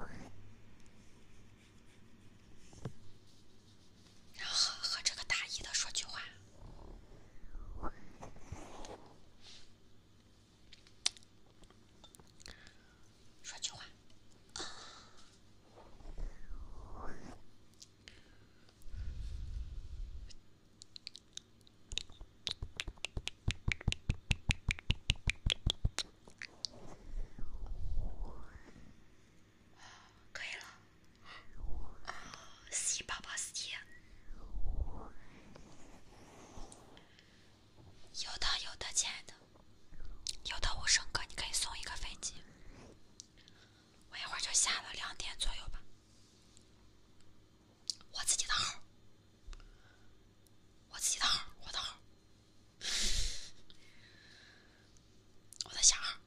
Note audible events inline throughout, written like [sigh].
然后和这个大一的说句话，说句话。可以了，洗八宝洗。有的有的，亲爱的，有的我升哥，你可以送一个飞机。我一会儿就下了，两点左右吧。我自己的号，我自己的号，我的号。我在下号。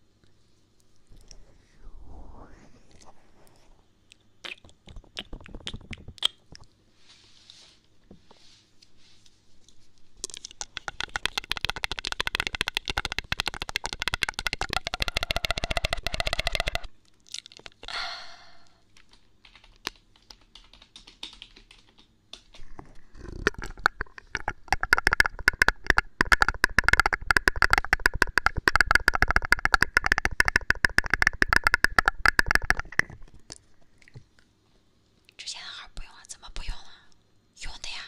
之前的号不用了，怎么不用了？用的呀，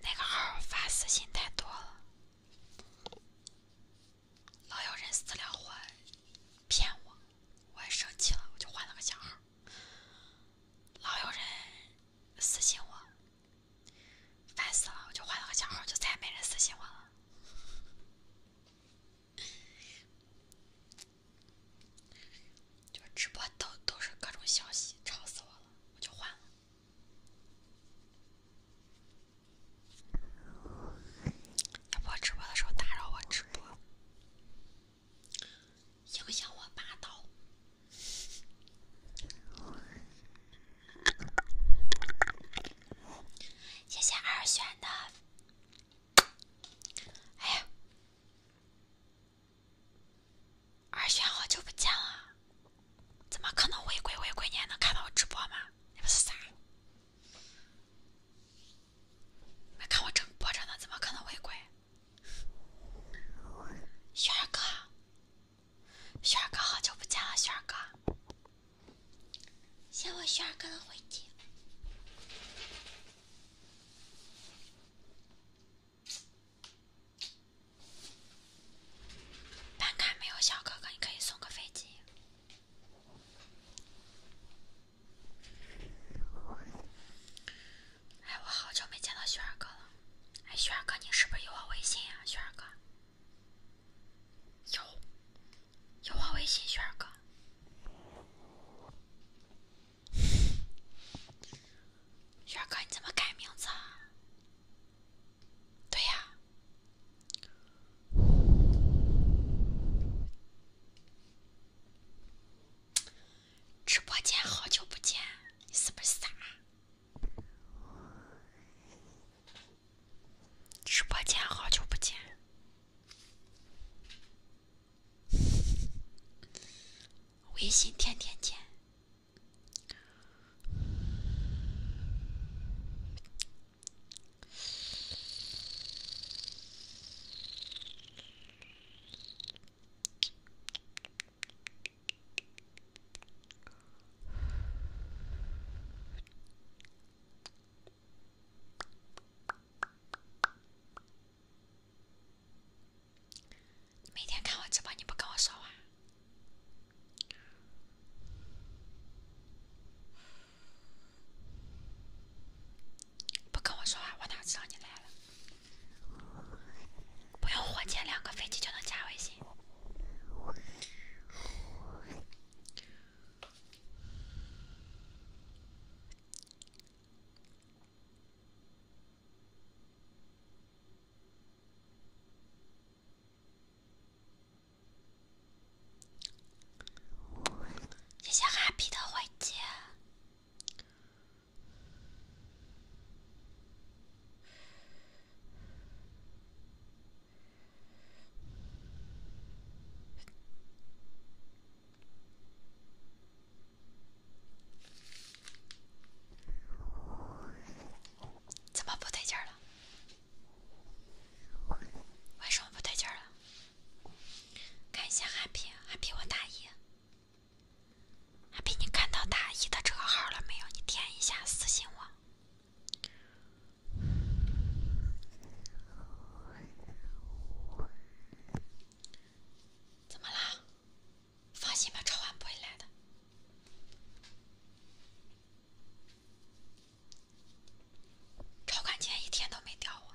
那个号发私信太多了，老有人私聊我，骗我。我也生气了，我就换了个小号。老有人私信我，烦死了，我就换了个小号，就再也没人私信我了。就直播都都是各种消息，吵死我了，我就换了。要不直播的时候打扰我直播。影响我霸道，谢谢二选的。哎呀，二选好久不见了，怎么可能违规？违规你还能看到我直播吗？那不是傻？没看我正播着呢，怎么可能会关？轩儿哥，轩儿哥，好久不见了，轩儿哥，先我轩儿哥的飞机，班卡没有小哥哥，你可以送个飞机。哎，我好久没见到轩哥了。哎，轩哥，你是不是有我微信呀？轩哥，有，有我微信，轩哥。[laughs] 轩哥，你怎么改名字？对呀。直播间好久不见，你是不是傻？直播间好久不见，微信天天见。你每天看我直播，你不跟我说话。不跟我说话，我哪知道你来了？不用火箭，两个飞机就能加微信。谢谢 happy 的飞机。怎么不对劲了？为什么不对劲了？感谢阿皮，阿皮我大姨。阿皮，你看到大姨的这个号了没有？你点一下私信我。怎么啦？放心吧，超管不会来的。超管今天一天都没掉我。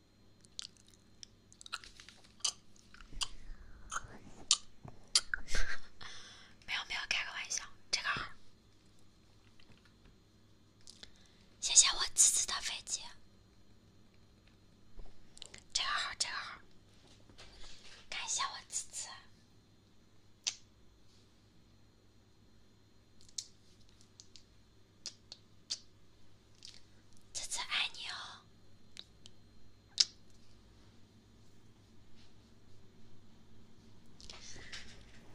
[laughs] 没有没有，开个玩笑，这个号，谢谢我次次的飞机，这个号这个号，感谢我次次。啧啧，爱你哦，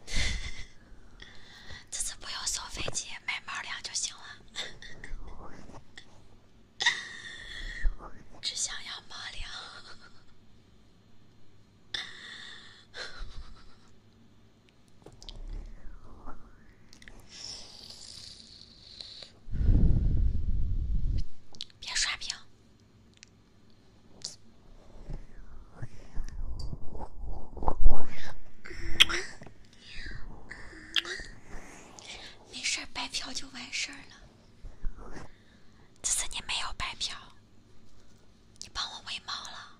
[laughs] 这次不用送飞机，买猫粮就行了，[laughs] 只想要猫粮。[laughs] 别刷屏。没事，白嫖就完事儿了。只是你没有白嫖，你帮我喂猫了。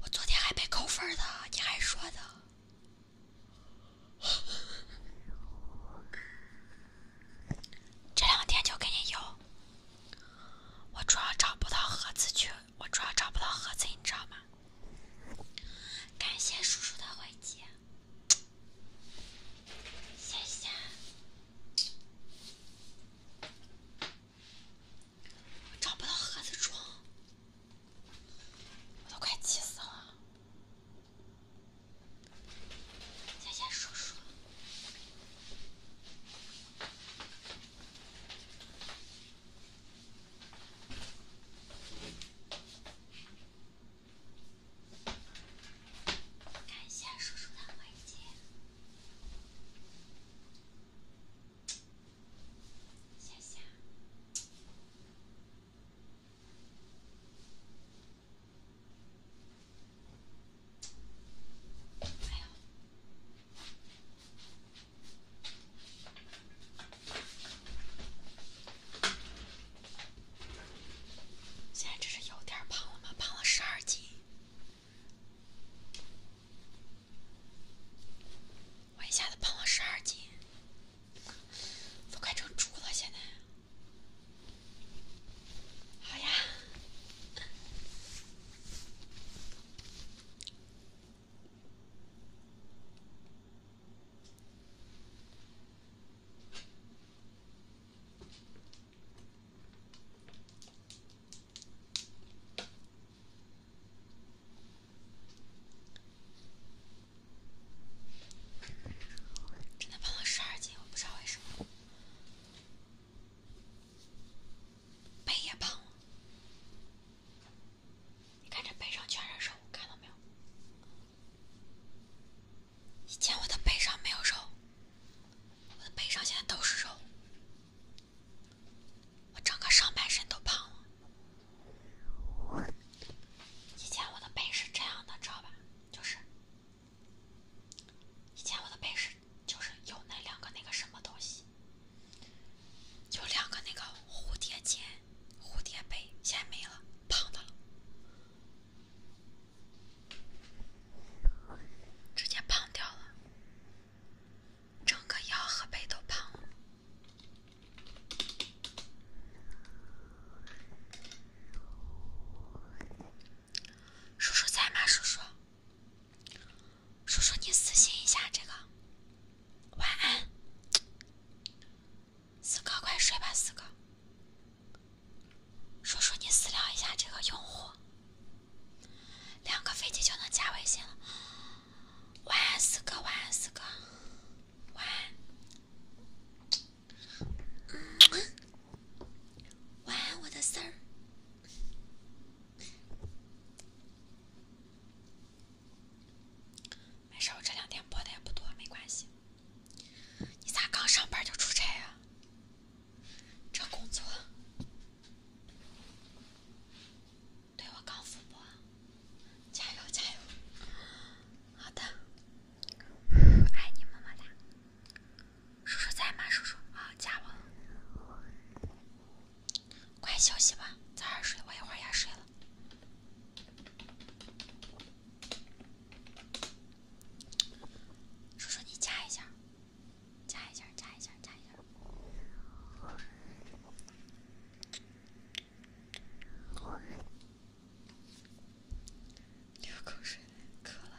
我昨天还没扣分呢，你还说呢。[laughs] 这两天就给你邮。我主要找不到盒子去，我主要找不到盒子，你知道吗？感谢叔叔的回击。谢谢，找不到盒子装，我都快气死了。谢谢叔叔。看一下叔叔的环节，下下。哎呦。现在真是有点胖了吗？胖了十二斤，我一下子胖了十二斤，都快成猪了。现在，好呀！真的胖了十二斤，我不知道为什么，背也胖了。你看这背上全是肉，看到没有？以前我的背上没有肉，我的背上现在都是肉，我整个上半身都胖了。以前我的背是这样的，知道吧？就是，以前我的背是，就是有那两个那个什么东西，有两个那个蝴蝶结，蝴蝶背，现在没了，胖的了。直接胖掉了，整个腰和背都胖了。叔叔在吗？叔叔，叔叔你私信一下这个，晚安。四哥，快睡吧，四哥。叔叔，你私聊一下这个用户，两个飞机就能加微信了。晚安，四哥，晚安，四哥，晚安。晚安，我的四儿。没事，我这两天播的也不多，没关系。你咋刚上班就出差啊？这工作。对我刚复播，加油加油！好的，爱你，么么哒。叔叔在吗？叔叔，好，加我。快休息吧，早点睡，我一会儿也睡了。叔叔，你加一下，加一下，加一下，加一下，流口水，渴了。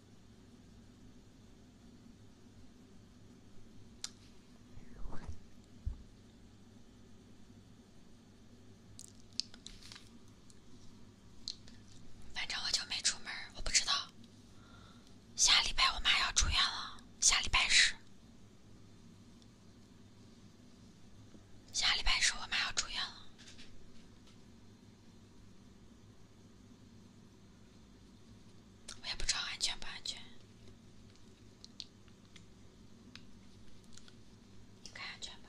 反正我就没出门，我不知道。下礼拜我妈要住院了，下礼拜十。下礼拜十我妈要住院了。我也不知道安全不安全，看安全吧。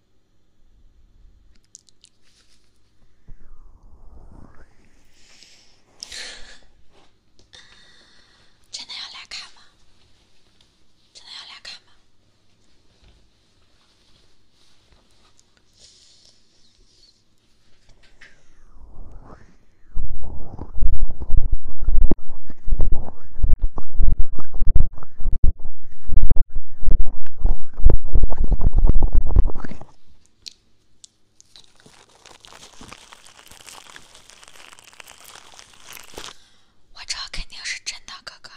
真的要来看吗？真的要来看吗？我这肯定是真的，哥哥。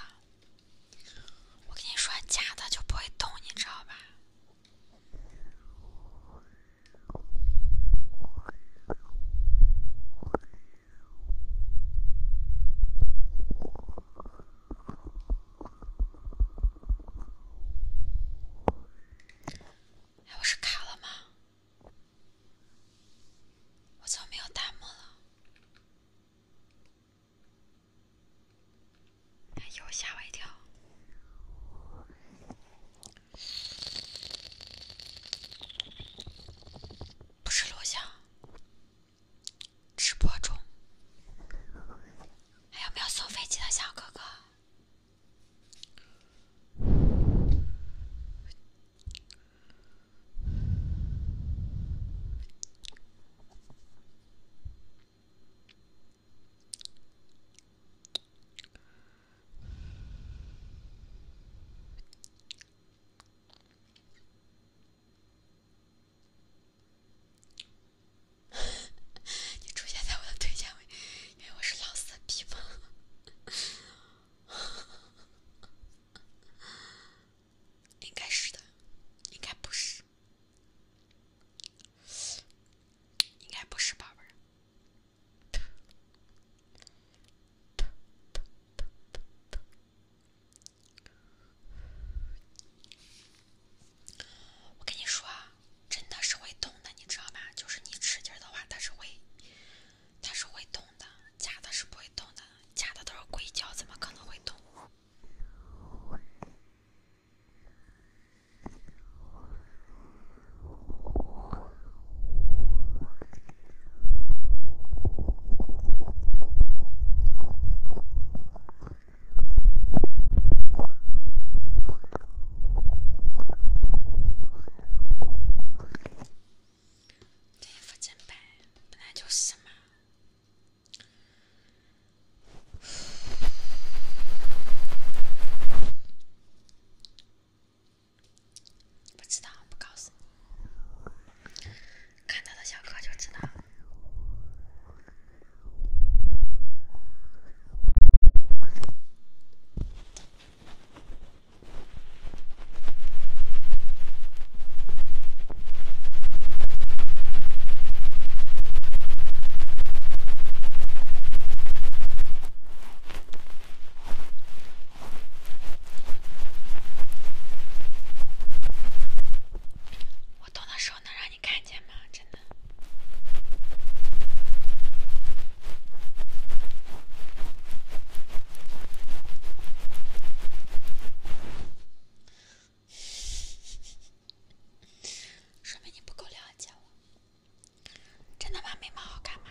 我跟你说假的就不会动，你知道吧？哎，我是卡了吗？我怎么没有弹幕了？哎呦，吓我一跳！不是罗翔。直播中，还有没有送飞机的小哥哥？[laughs] 你出现在我的推荐位，因为我是老色批吗？[laughs] 应该是的，应该不是，应该不是吧，宝贝？我跟你说，真的是会动的，你知道吧？就是你吃劲儿的话，它是会，它是会动的。假的是不会动的，假的都是硅胶，怎么可能会动？[laughs] 这衣服真白，本来就是嘛。不知道，不告诉你。看到的小册就知道。我动的手能让你看见吗？真的，说明你不够了解我。真的吗？眉毛好看吗？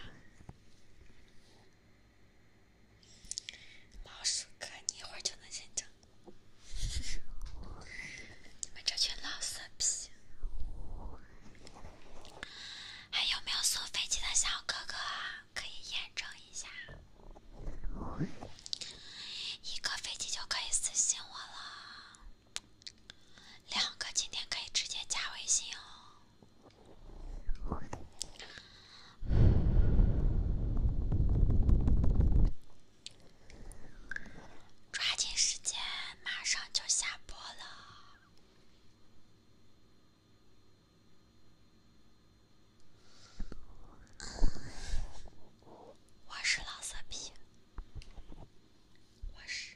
老鼠哥，你一会儿就能验证。你们这群老色批！还有没有坐飞机的小哥哥？可以验证一下，一个飞机就可以私信我了，两个今天可以直接加微信哦。抓紧时间，马上就下播了。我是老色批，我是。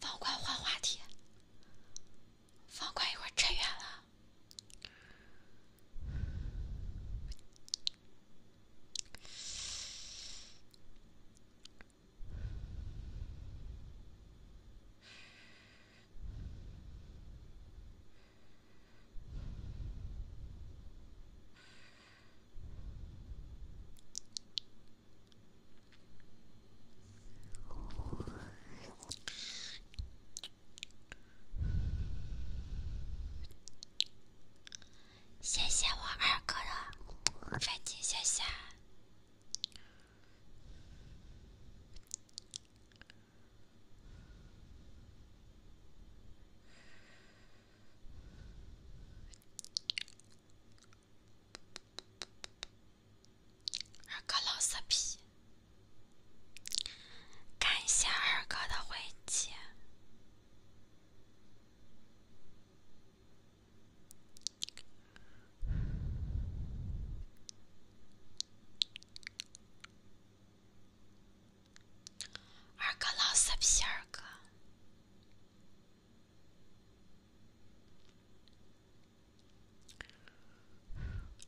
方块换话题，方块一会儿扯远了。谢谢我二哥的粉金，谢谢。二哥老色皮，感谢二哥的回击。二哥老色皮！二哥，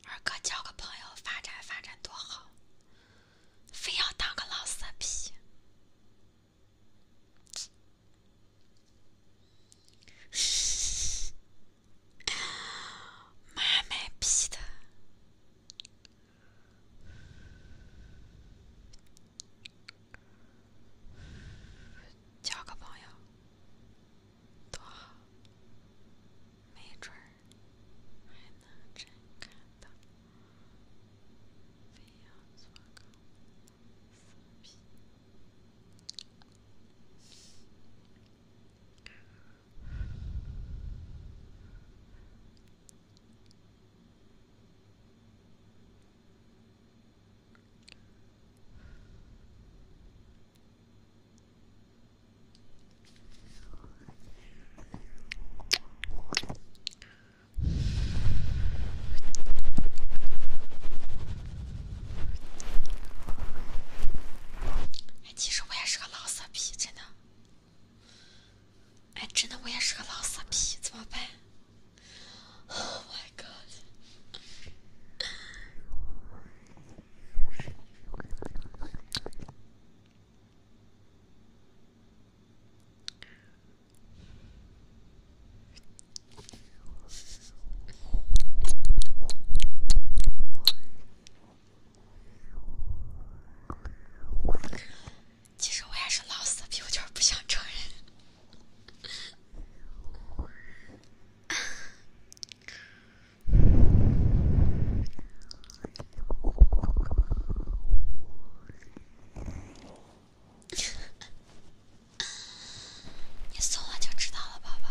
二哥交个朋友，发展发展多好，非要当个老色皮！妈卖批的！交个朋友，多好！没准儿还能真看到飞扬的尾巴、手臂。其实我也是个老色批，真的。哎，真的，我也是个老色批，怎么办？Oh my god！其实我也是老死，我就是不想承认。你送了就知道了，宝宝。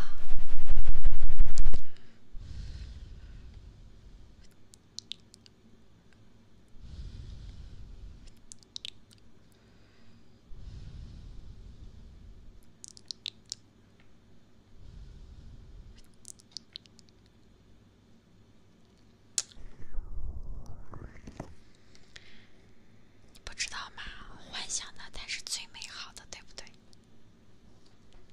你不知道吗？幻想的才是最美好的，对不对？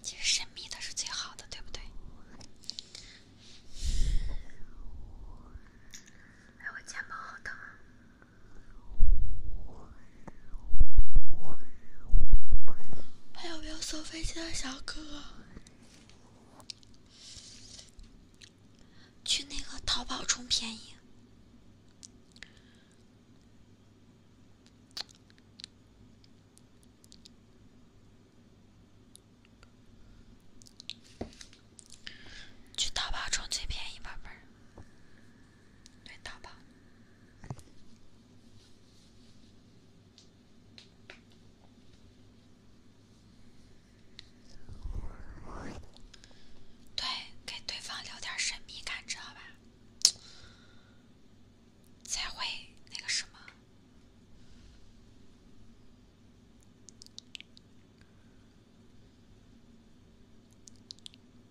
其实神秘的是最好的，对不对？哎，我肩膀好疼。还有没有收飞机的小哥哥？去那个淘宝充便宜，去淘宝充最便宜，宝贝儿。对，打吧。对，给对方留点神秘感，知道吧？才会那个什么。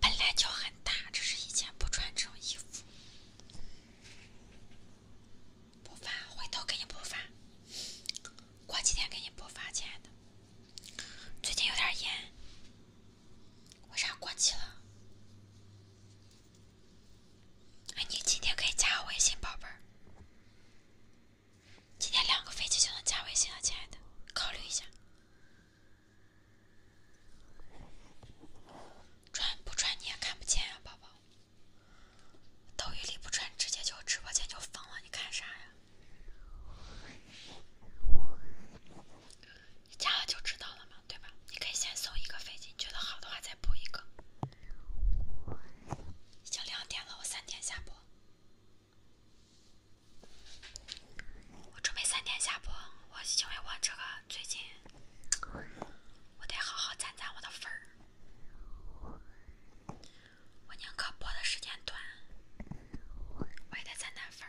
本来就很大，只是以前不穿这种衣服。补发，回头给你补发。过几天给你补发，亲爱的。最近有点严，为啥过期了？哎，你今天可以加我微信，宝贝儿。今天两个飞机就能加微信了，亲爱的，考虑一下。转不转你也看不见啊，宝宝。抖音里不转，直接就直播间就封了，你看啥呀？你加了就知道了嘛，对吧？你可以先送一个飞机，你觉得好的话再补一个。已经两点了，我三点下播。我准备三点下播，我因为我这个最近，我得好好攒攒我的粉我宁可播的时间短，我也得攒攒粉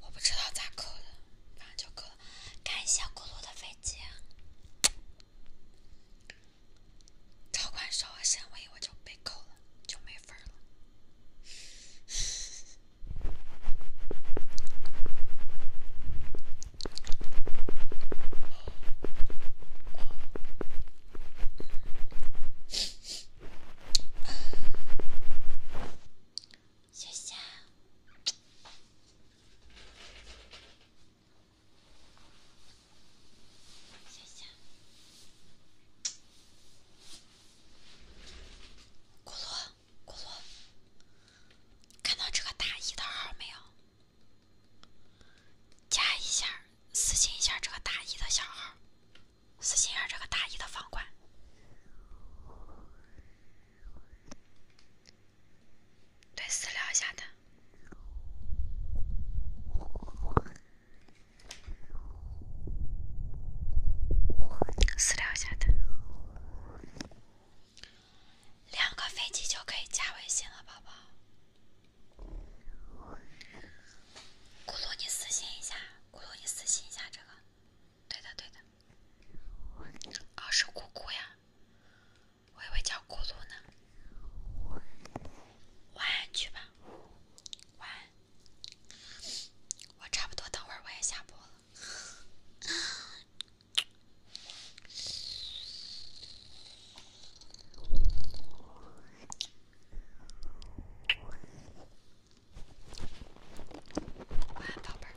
我不知道咋扣的，反正就扣了。感谢公路的飞机，超管说我行为我就被扣了，就没分了。[laughs] 笑谢，谢笑，咕噜咕噜，看到这个大一的号没有？加一下，私信一下这个大一的小号。死心眼这个大一的房管，对，私聊一下他，私聊一下他，两个飞机就可以加微信了，宝宝。咕噜，你私信一下。咕噜，你私信一下这个。对的，对的。哦，是咕咕呀，我以为叫咕噜呢。晚安，去吧。晚安。我差不多，等会儿我也下播了。Wow, Topper.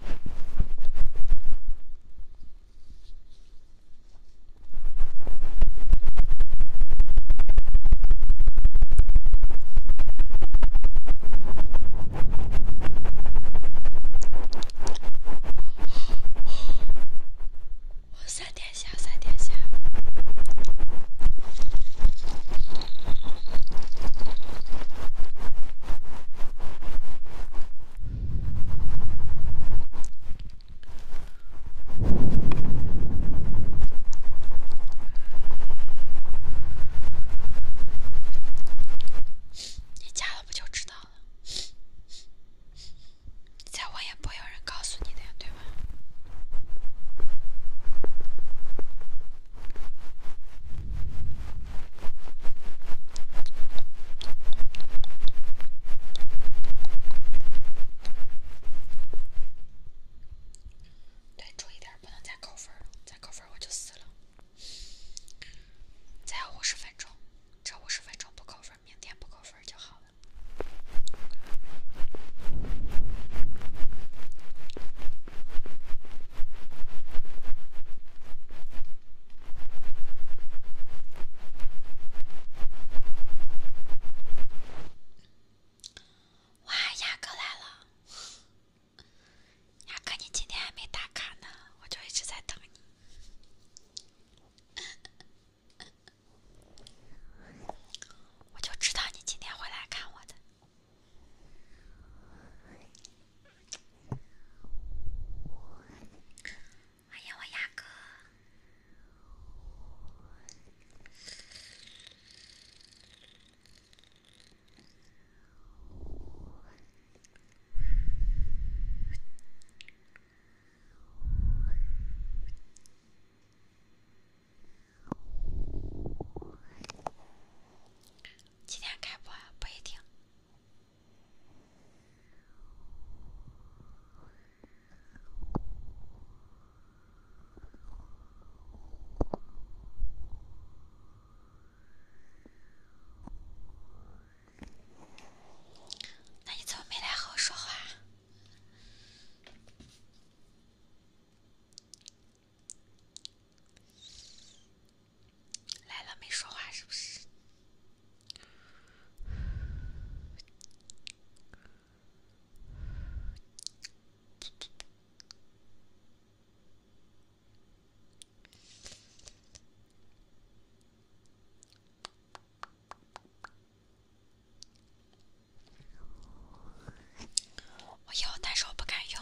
What was that, Dad? 下，三殿下，你加了不就知道了？再问也不会有人告诉你的呀，对吧？对，注意点不能再扣分了，再扣分我就死了。再有五十分钟，这五十分钟不扣分，明天不扣分就好了。哇，雅哥来了！雅哥，你今天还没打卡呢，我就一直在等你。我就知道你今天会来看我的。欢迎我牙哥。几点开播啊？不一定。那你怎么没来和我说话？来了没说话是不是？我有，但是我不敢用。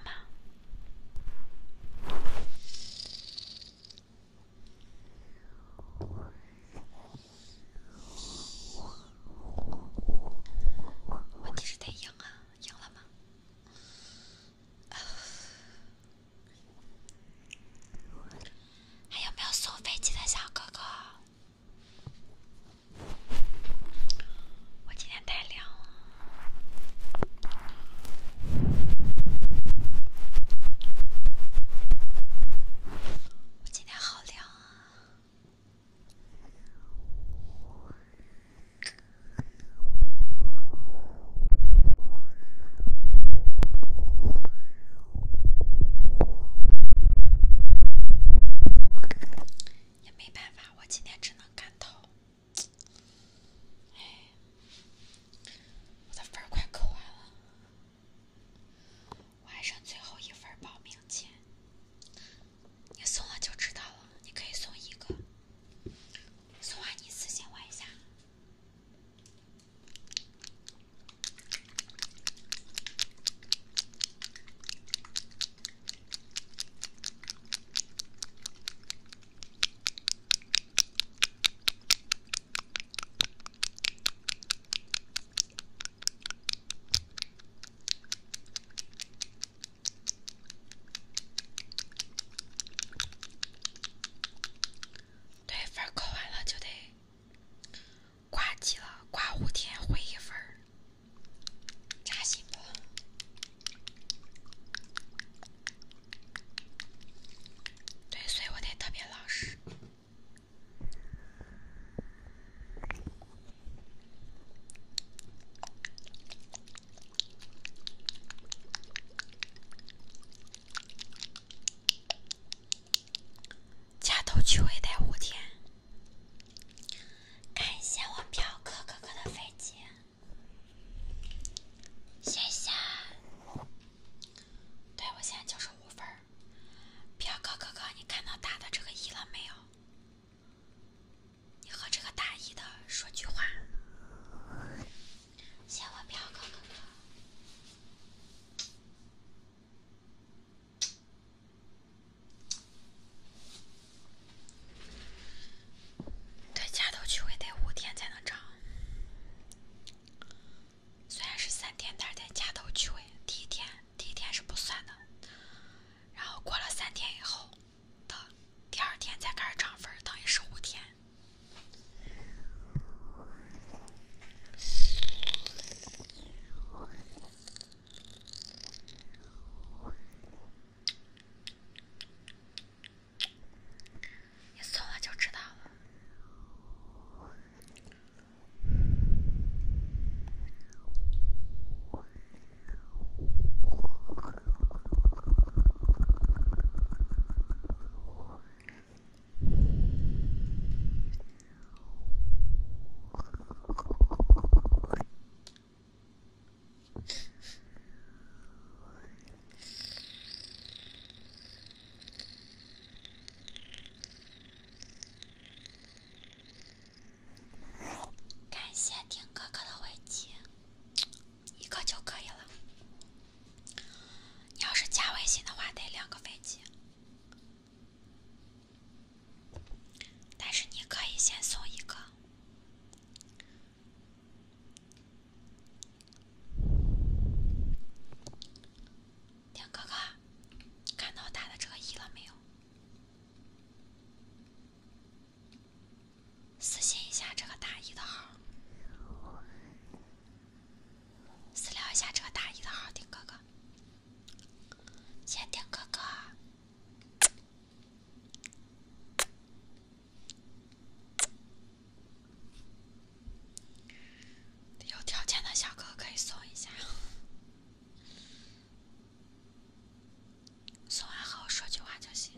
问题是得赢啊，赢了吗？还有没有送飞机的小哥哥？我今天太凉了，我今天好凉啊，也没办法，我今天只能。赶到，哎，我的分儿快扣完了，我还剩最后一份儿报名钱，你送了就知道了，你可以送一个，送完你私信我一下。对，分儿考完了就得挂机了，挂五天回一分儿。扎心不？对，所以我得特别老实。扎头去尾的，五天！感谢我表哥哥哥的飞机，谢谢。对我现在就是五分儿，表哥哥哥，你看到打的这个一了没有？你和这个打一的说句话。谢我表哥哥哥。在加头区位得五天才能涨，虽然是三天，但是在加头区位，第一天第一天是不算的，然后过了三天以后的第二天才开始涨分，等于十五天。你送了就知道了。感谢丁哥哥的飞机，一个就可以了。你要是加微信的话，得两个飞机。但是你可以先送一个。丁哥哥，看到打的这个一了没有？私信一下这个打一的号，私聊一下这个打一的号，丁哥哥，谢丁哥哥。有条件的小哥可以送一下，送完后说句话就行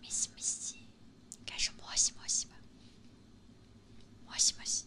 没戏没戏，开始磨戏磨戏吧，磨戏磨戏。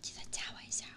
记得加我一下啊！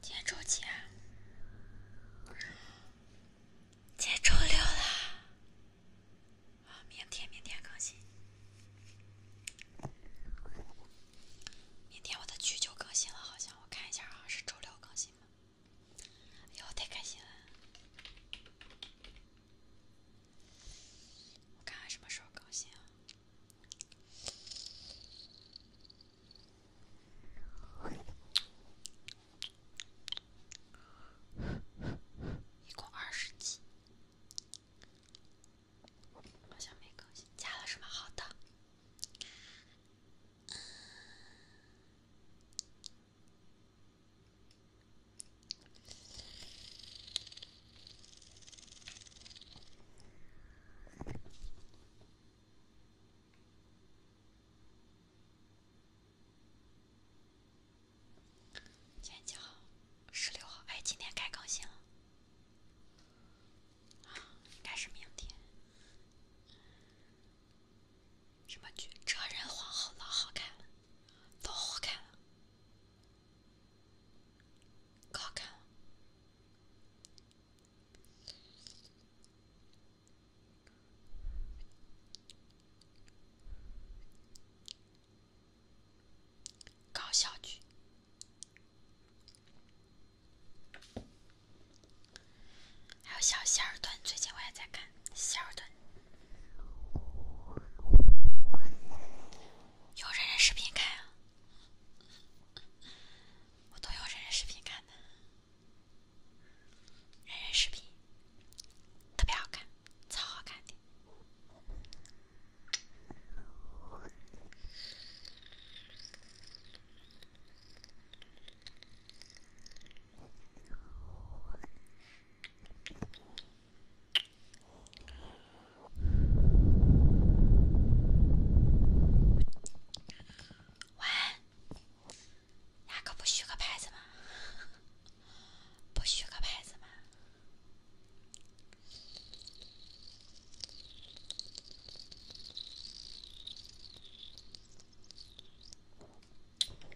今天周几啊？今天周六了。啊，明天明天更新。明天我的剧就更新了，好像我看一下，啊。是周六更新。哎呦，太开心了。我看什么时候更新啊？一共二十集，好像没更新，加了什么？好的。今天几号？十六号。哎，今天该更新了。啊，应该是明天。什么剧？《哲人皇后》老好看了，都好看了。搞笑，搞笑剧，还有《小仙儿段，最近我也在看。小的，有人人视频看啊，我都有人人视频看的，人人视频特别好看，超好看的。晚，安，哪个不许个牌子吗？不许个牌子吗？[laughs]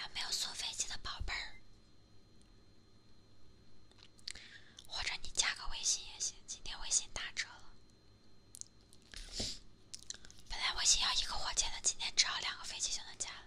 有没有送飞机的宝贝儿？或者你加个微信也行，今天微信打折了。本来微信要一个火箭的，今天只要两个飞机就能加了。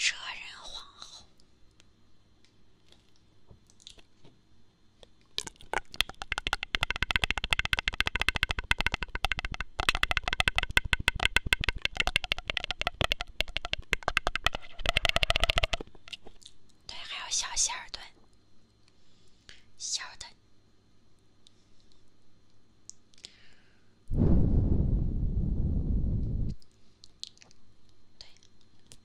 车人皇后。对，还有小希尔顿，希尔顿，对。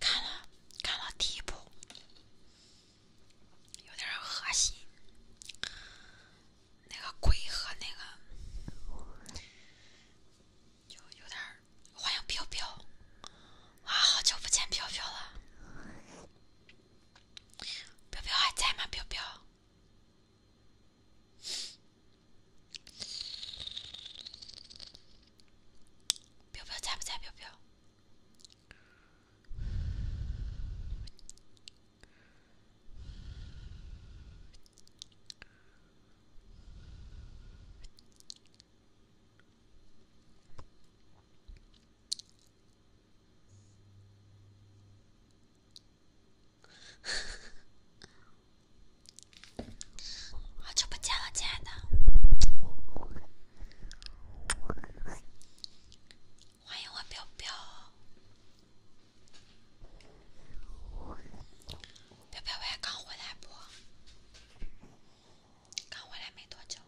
看了看了第一部，有点恶心，那个鬼和那个。就有点欢迎飘飘啊！好久不见飘飘了，飘飘还在吗？飘飘，飘飘在不在？飘飘。好久不见了，亲爱的，欢迎我彪彪。彪彪，我还刚回来不？刚回来没多久。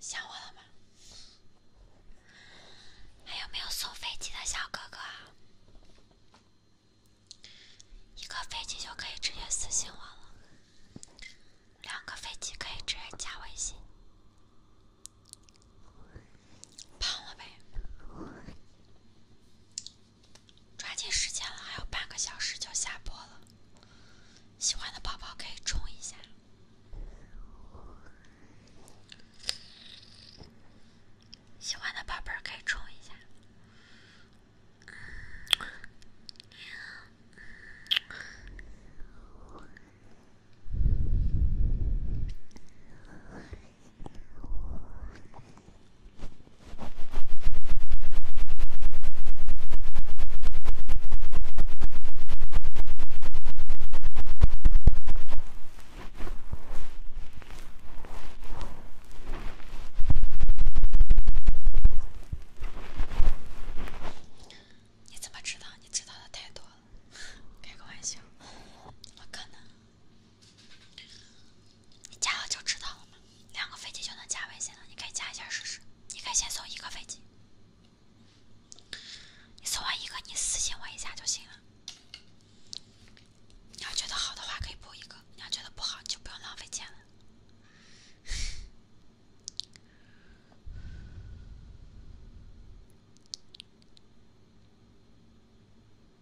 想我了吗？还有没有送飞机的小哥哥？一个飞机就可以直接私信我了，两个飞机可以直接加微信。胖了呗，抓紧时间了，还有半个小时就下播了。喜欢的宝宝可以冲一下，喜欢的宝贝可以冲一下。你怎么知道？你知道的太多了，开个玩笑，不可能。你加了就知道了嘛，两个飞机就能加微信了，你可以加一下试试。你可以先送一个飞机，你送完一个，你私信我一下就行了。你要觉得好的话，可以补一个；你要觉得不好，就不用浪费钱了。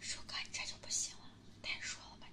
叔哥，你这就不行了，太弱了吧！了。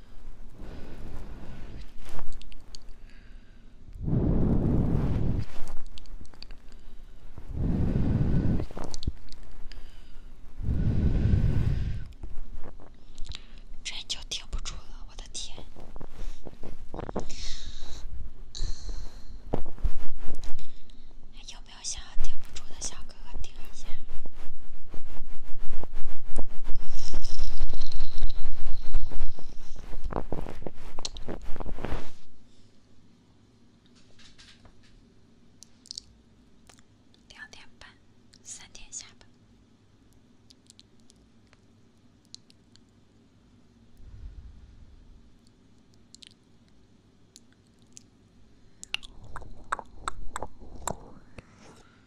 真就顶不住了，我的天！有没有想要顶不住的小哥哥顶一下？两点半，三点下班。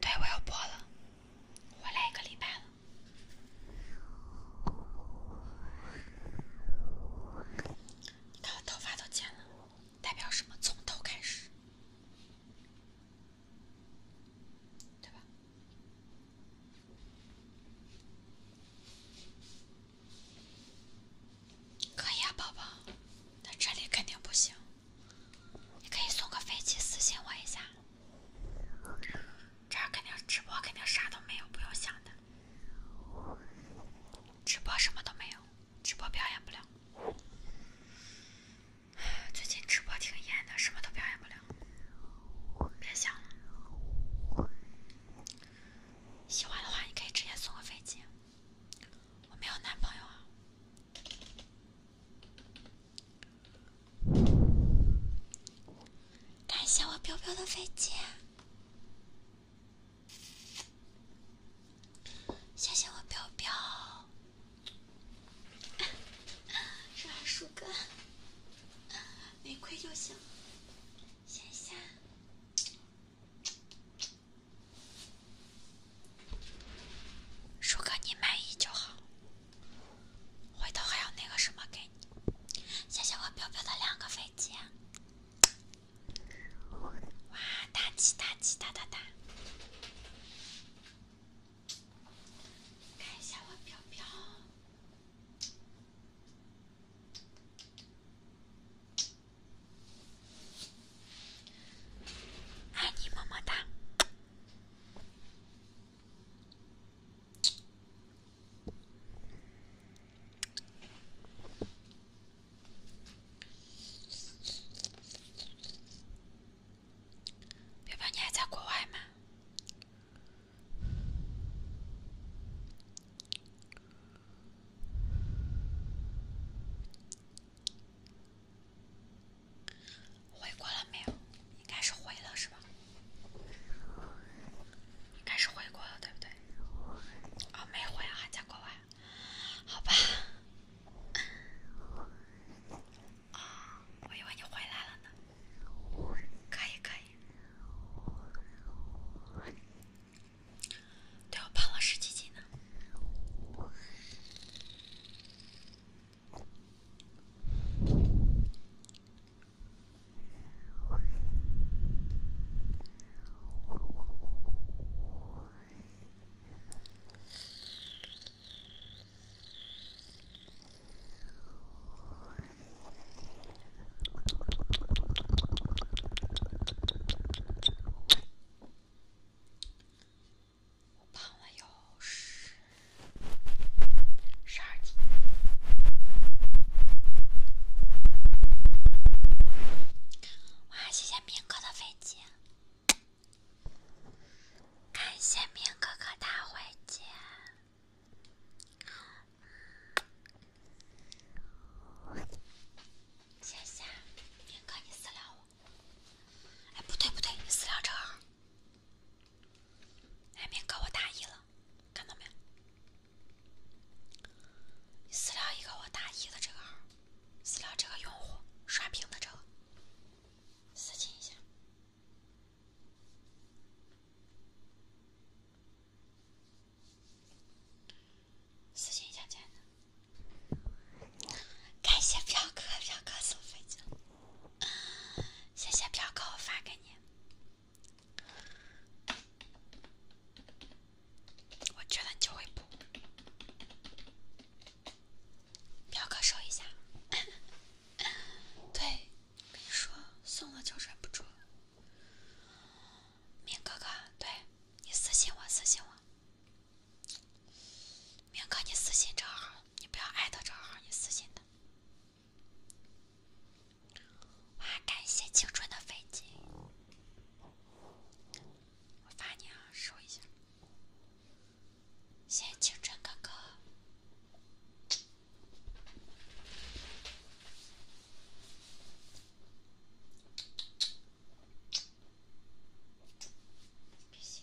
对，我要播了，我来一个礼拜了。你看我头发都剪了，代表什么？从头开始，对吧？可以啊，宝宝，但这里肯定不行。你可以送个飞机私信我一下，这儿肯定直播肯定啥都没有，不用想的。直播什么都没有，直播表演不了。最近直播挺严的，什么都表演不了，别想了。喜欢的话，你可以直接送个飞机。我没有男朋友啊。感谢我彪彪的飞机，谢谢我彪彪。这 [laughs] 树哥？[laughs] 没亏就行。谢谢，如果你满意就好。回头还有那个什么给你。谢谢我飘飘的两个飞机。哇，大气大气大大大！看一下我飘飘。爱你么么哒，彪彪，你还在国外吗？回过了没有？应该是回了是吧？应该是回国了对不对？哦，没回啊，还在国外。好吧。哦，我以为你回来了呢。可以可以。对我胖了十几斤呢。我胖了有十十二斤。哇，谢谢明哥的飞机，感谢明哥哥大飞机。谢谢，明哥，你私聊我。哎，不对不对，你私聊这个。哎，明哥，我打一了，看到没有？私聊一个我打一的这个号，私聊这个用户刷屏的这个，私信一下。事情想起来的，感谢彪哥，彪哥送飞机谢谢彪哥，我发给你。我觉得就会补，彪哥收一下。[coughs] 对，跟你说，送了就忍不住。明哥哥，对，你私信我，私信我。明哥，你私信这号，你不要艾特这号，你私信他。哇，感谢青春的飞机，我发你啊，收一下。谢谢青春哥哥。不行，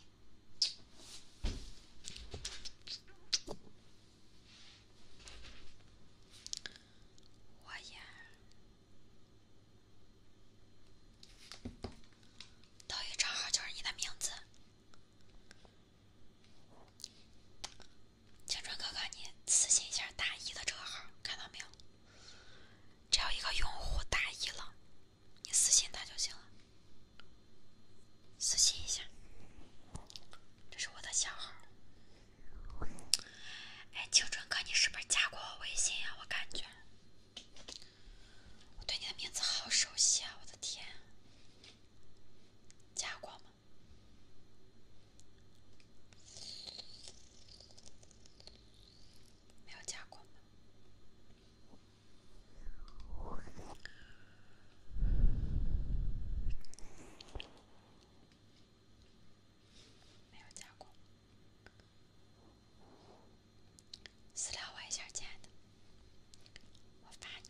我呀，抖音账号就是你的名字。青春哥哥，你私信一下大一的这个号，看到没有？只要一个用户大一了，你私信他就行了。私信一下，这是我的小号。哎，青春哥，你是不是加过我微信呀？我感觉我对你的名字好熟悉啊！我的天，加过吗？没有加过吗？没有加过，私聊我一下，亲爱的，我发你。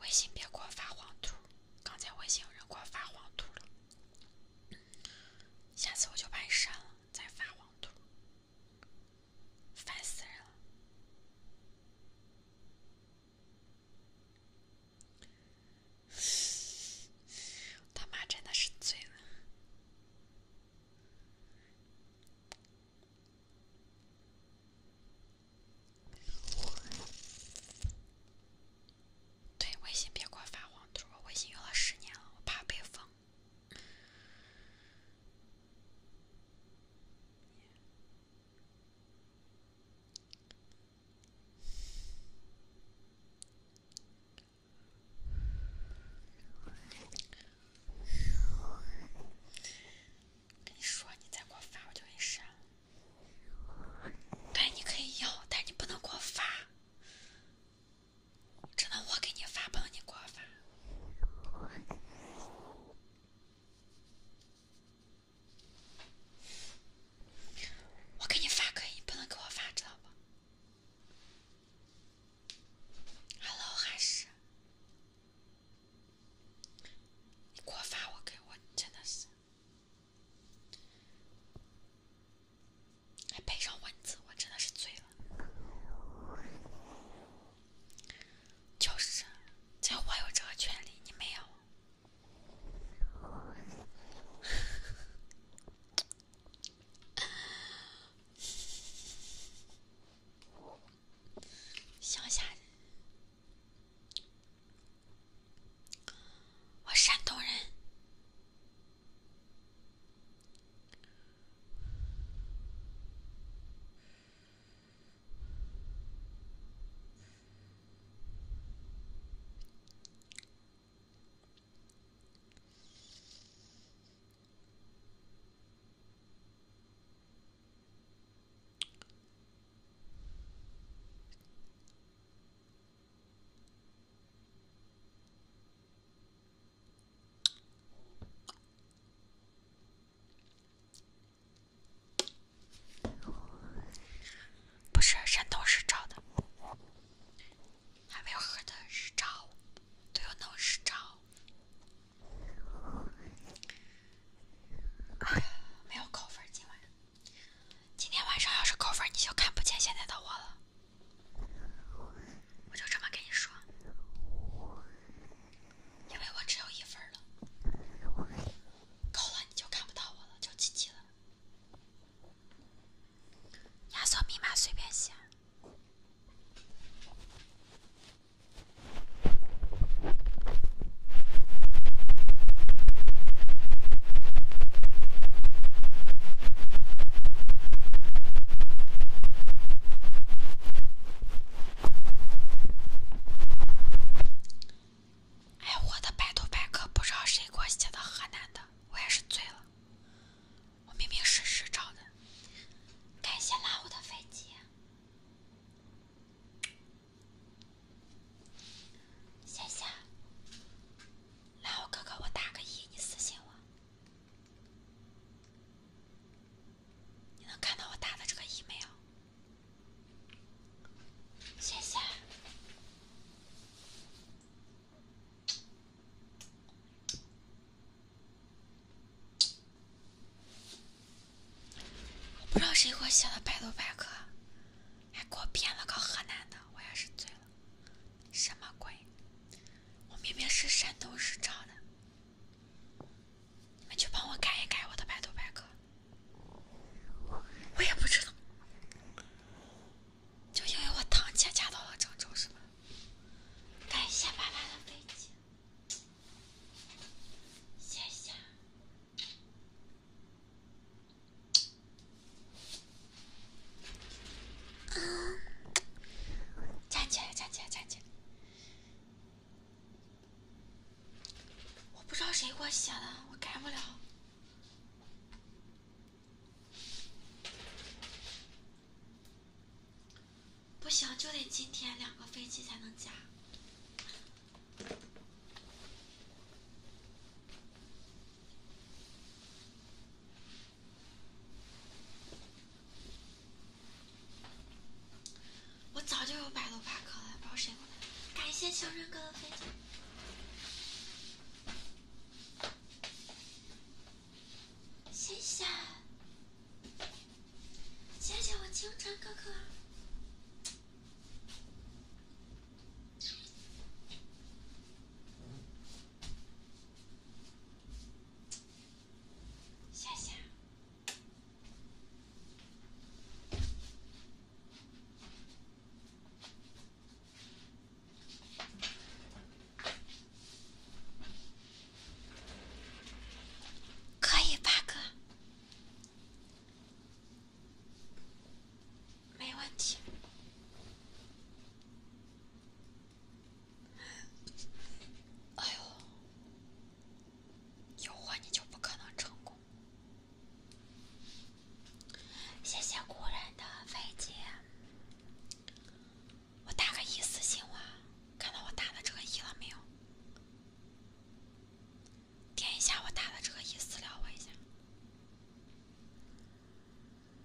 微信别给我发黄图！刚才微信有人给我发黄图了，下次我就把你删了，再发黄图，烦死人了。他妈真的是醉了！对，微信别给我发黄图，我微信用了十年了，我怕被封。跟你说，你再给我发，我就给你删。但你可以要，但你不能给我发。只能我给你发，不能你给我发。我给你发可以，不能给我发，知道不？Hello，韩式，你给我发我给我真的是，还配上文字，我真的是醉了。就是，只有我有这个权利，你没有。乡下人，我山东人。不是，山灯是照的。还没有喝的日照，都要弄日照。没有扣分今晚。今天晚上要是扣分，你就看不见现在的我了。我就这么跟你说，因为我只有一分了。扣了你就看不到我了，就 GG 了。压缩密码随便写。哎，我的百度百科不知道谁给我写的河南的，我也是醉了。我明明是实照的。感谢拉我的飞机，谢谢。拉我哥哥，我打个一，你私信我。你能看到我打的这个一没有？谢谢。不知道谁给我写的百度百科，还给我编了个河南的，我也是醉了。什么鬼？我明明是山东日照的。你们去帮我改一改我的百度百科，我也不知道。就因为我堂姐嫁到了郑州，是吧？感谢爸爸的飞机，谢谢。站起来，站起来，站起来！我不知道谁给我写的，我改不了。不行，就得今天两个飞机才能加。我早就有百度百科了，不知道谁给我。感谢情人哥的飞机。谢谢，谢谢我清晨哥哥，谢谢。可以，八哥，没问题。哎呦，有我你就不可能成功。谢谢古人的飞机。我打个一私信我，看到我打的这个一了没有？点一下我打的这个一私聊我一下，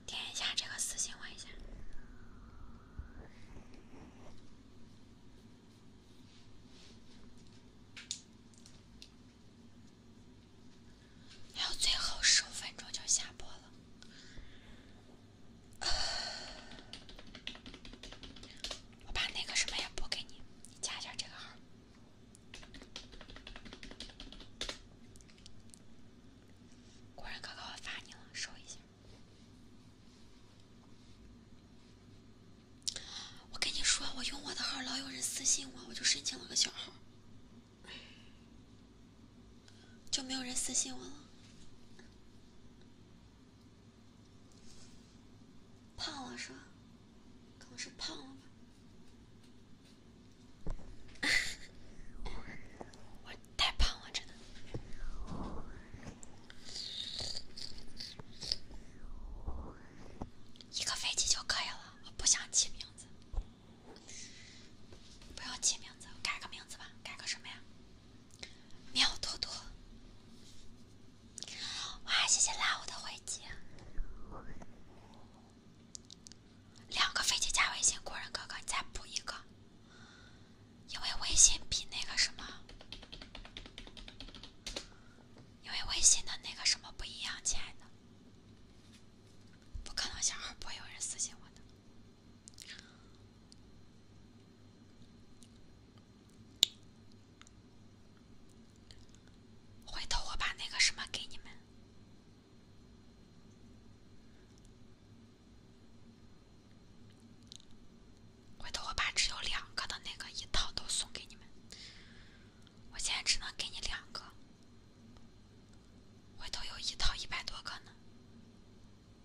点一下这个私信我一下。还有最后十五分钟就下播了，我把那个什么也补给你，你加一下这个号。果然哥哥，我发你了，收一下。我跟你说，我用我的号老有人私信我，我就申请了个小号。就没有人私信我了。胖了是吧？可能是胖了吧？[laughs] 我太胖了，真的。一个飞机就可以了，我不想起名字。不要起名字，改个名字吧，改个什么呀？喵多多。哇，谢谢拉我的飞机，两个飞机加微信，果人哥哥，你再补一个。因为微信比那个什么，因为微信的那个什么不一样，亲爱的，不可能，小号不会有人私信我的。回头我把那个什么给你们。回头我把只有两个的那个一套都送给你们。我现在只能给你两个。我都有一套一百多个呢，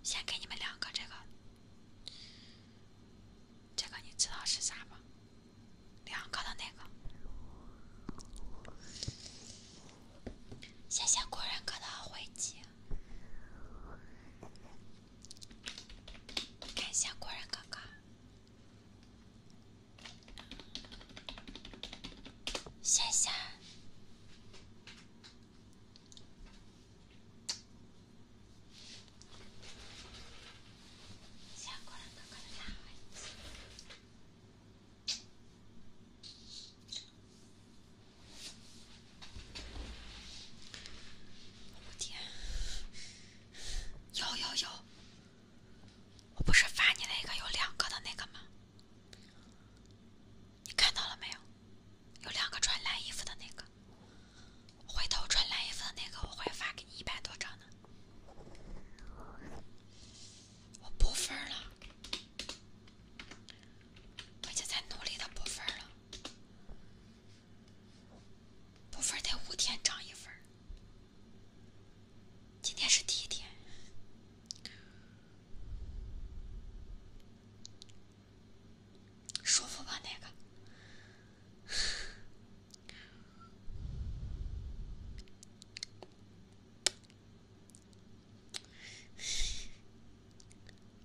先给你们两个这个，这个你知道是啥吧？两个的那个，谢谢果然哥的回击，感谢果然哥哥，谢谢。我天，有有有！我不是发你那个有两个的那个吗？你看到了没有？有两个穿蓝衣服的那个，回头穿蓝衣服的那个，我会发给你一百多张的。我补分了，我现在努力的补分了，补分得五天涨一分，今天是第一天。舒服吧，那个。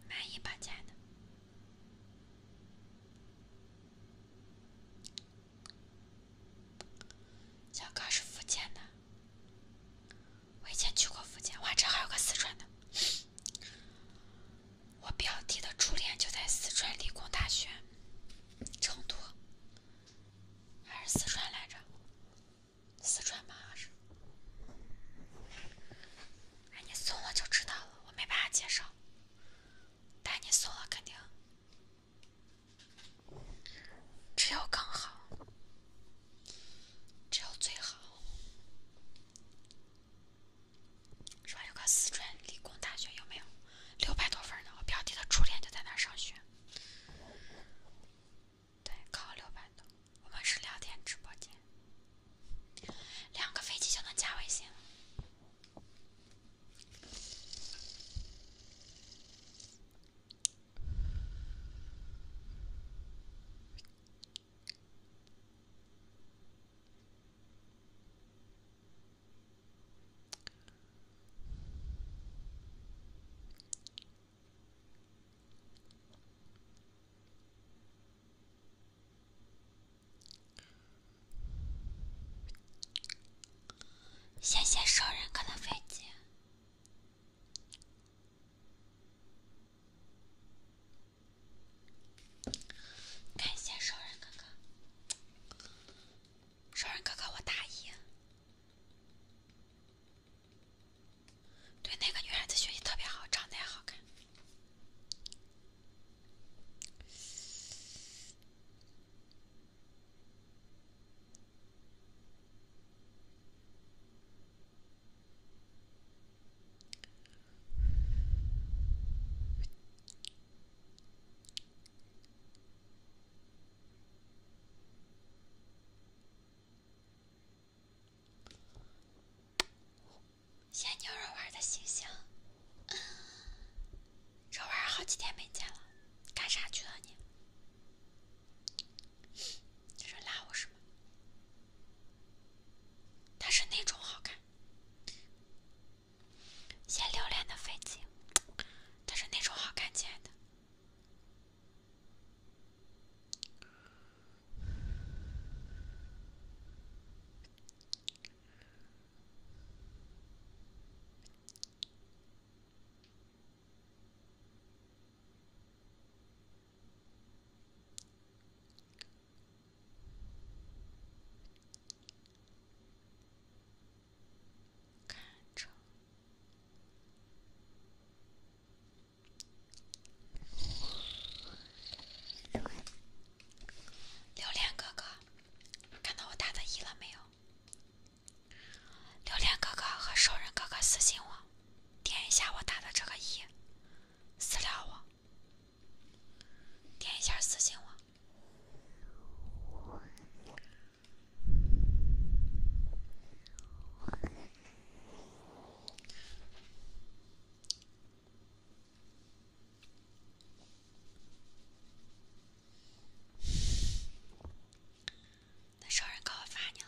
满意吧，亲爱的。小哥是福建的。我以前去过福建，哇，这还有个四川的。我表弟的初恋就在四川理工大学，成都，还是四川来着？四川吧，还是？哎，你送了就知道了，我没办法介绍。但你送了肯定，只有刚好。只有最好。说有个四川理工大学有没有？六百多分呢，我表弟的初恋就在那儿上学。对，考六百多。我们是聊天直播间，两个飞机就能加微信了。谢谢熟人哥的飞机。感谢少人哥哥，少人哥哥，我大一，对那个女孩子学习特别好，长得也好看。谢牛肉丸的星星，这玩意好几天没见了，干啥去了你？你说拉我什么？他是那种好看，写榴莲的飞机，他是那种好看，亲爱的。看着榴莲哥哥，看到我打的一了没有？榴莲哥哥和熟人哥哥私信我。点一下我打的这个一，私聊我。点一下私信我。那熟人格我发你了。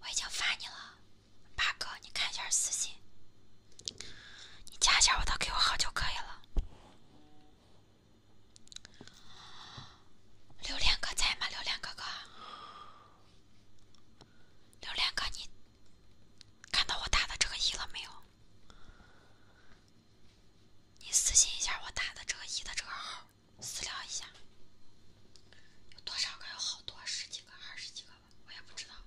我已经发你了，八哥，你看一下私信，你加一下我的 QQ 号就可以了。榴莲哥在吗？榴莲哥哥，榴莲哥，你看到我打的这个一了没有？你私信一下我打的这个一的这个号，私聊一下，有多少个？有好多，十几个、二十几个吧，我也不知道，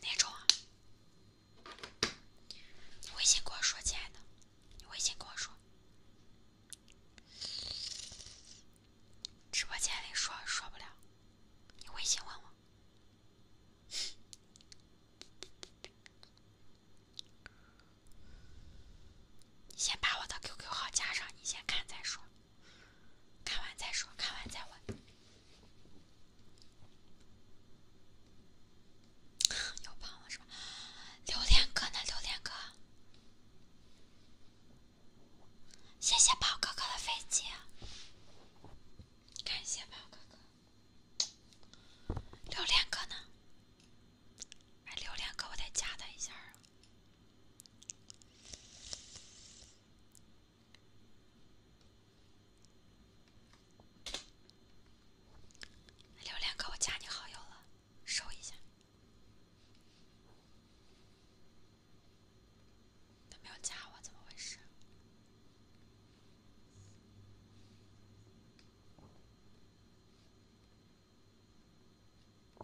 哪种啊？微信跟我说，亲爱的，你微信跟我说，直播间里说说不了，你微信问我。你先把我的 QQ 号加上，你先看再说，看完再说，看完再问。又胖了是吧？榴莲哥呢？榴莲哥，谢谢宝哥哥的飞机，感谢宝哥哥。榴莲哥呢？哎，榴莲哥，我得加他一下啊。榴莲哥，我加你好友了，收一下。他没有加我，怎么回事？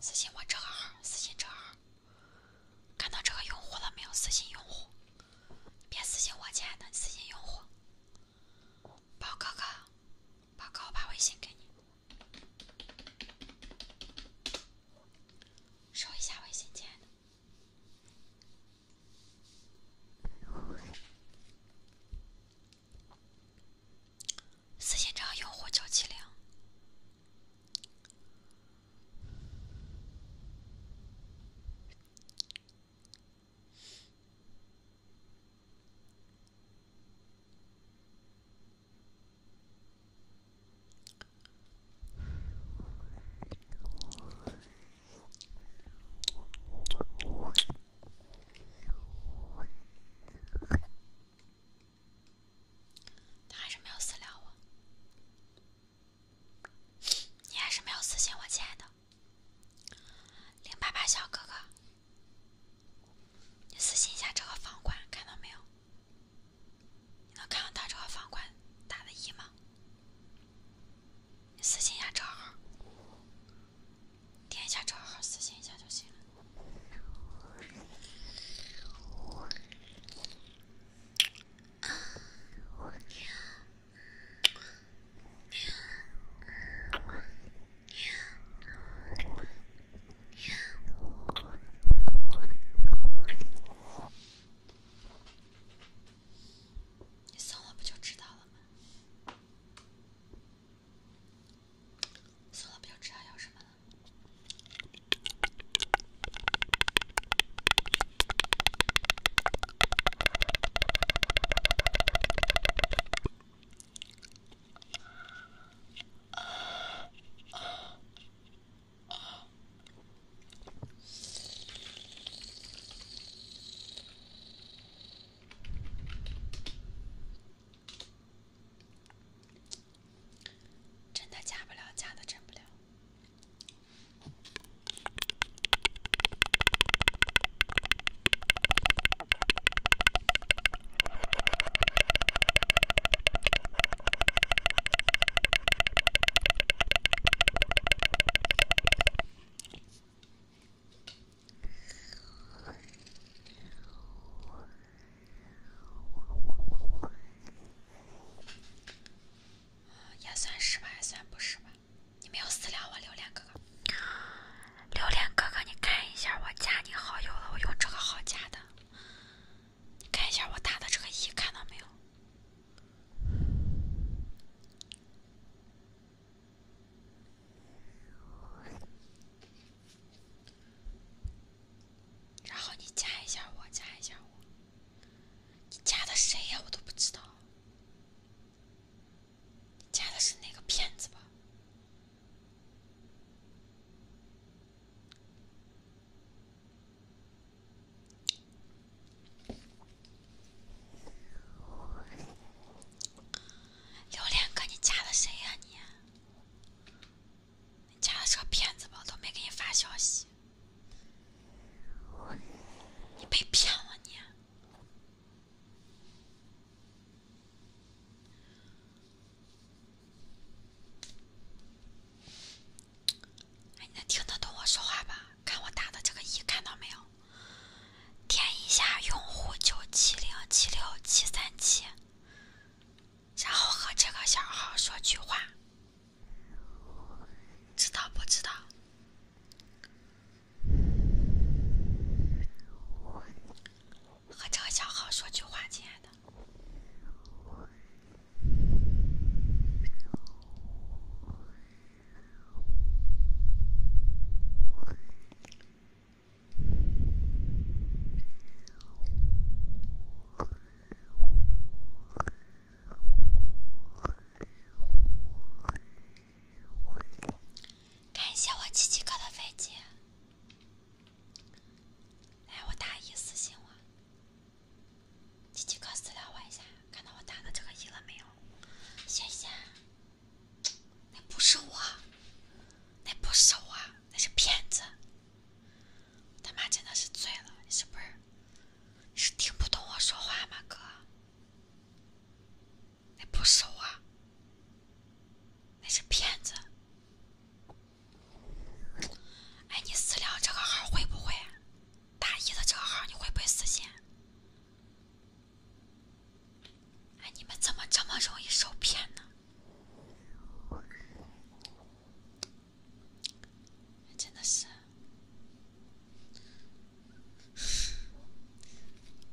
私信我这个号，私信这个号。看到这个用户了没有？私信用户，别私信我亲爱的，私信用户。宝哥哥，宝哥，我把微信给你，收一下微信，亲爱的。私信账号用户九七零。他还是没有私聊我，你还是没有私信我，亲爱的。零八八小哥哥，你私信一下这个房管，看到没有？你能看到他这个房管打的“一”吗？你私信一下这号，点一下这号，私信一下就行你送了不就知道了吗？送了不就知道要什么了吗？真的假不了，假的真不了。也算是吧，也算不是吧。你没有私聊我，榴莲哥哥，榴莲哥哥，你看一下，我加你好友了，我用这个号加的。你看一下我打的这个一，看到没有？然后你加一下我，加一下我。你加的谁呀？我都不知道。你加的是那个骗子吧？榴莲哥，你加的谁呀你？你加的是个骗子吧？都没给你发消息，你被骗了你。你能听得懂我说话吧？看我打的这个一，看到没有？点一下用户九七零七六七三七，然后和这个小号说句话，知道不知道？和这个小号说句话，亲爱的。感谢我七七哥的飞机，来我打一私信我，七七哥私聊我一下，看到我打的这个一了没有？谢谢，那不是我，那不是我，那是骗子，他妈真的是醉了，是不是？你是听不懂我说话吗，哥？那不熟啊，那是骗子。哎，你私聊这个号会不会？大一的这个号你会不会私信？哎，你们怎么这么容易受骗呢？真的是，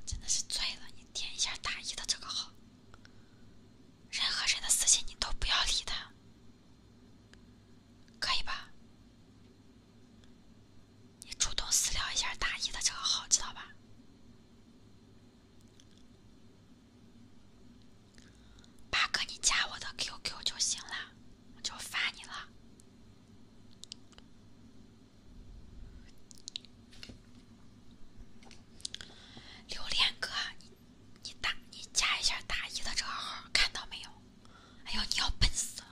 真的是醉了你。点一下大一的这个号，任何人的私信你都不要理他，可以吧？你主动私聊一下大一的这个号，知道吧？八哥，你加我的 QQ 就行了，我就发你了。榴莲哥，你你加一下大一的账号，看到没有？哎呦，你要笨死了！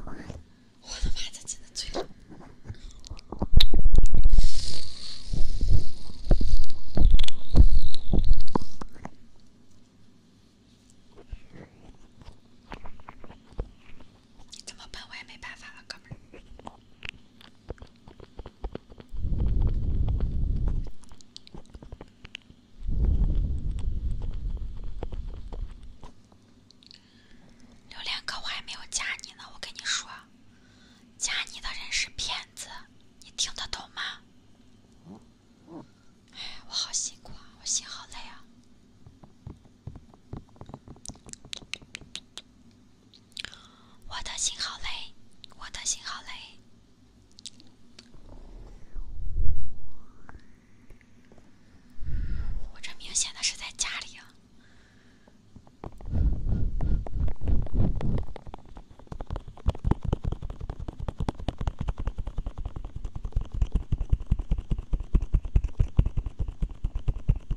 我的妈，这真的醉了。[laughs] 你这么笨我也没办法了，哥们儿。榴莲哥，我还没有加你呢，我跟你说，加你的人是骗子，你听得懂吗？哎，我好辛苦啊，我心好累啊。我的心好累，我的心好累。我这明显的是在家里。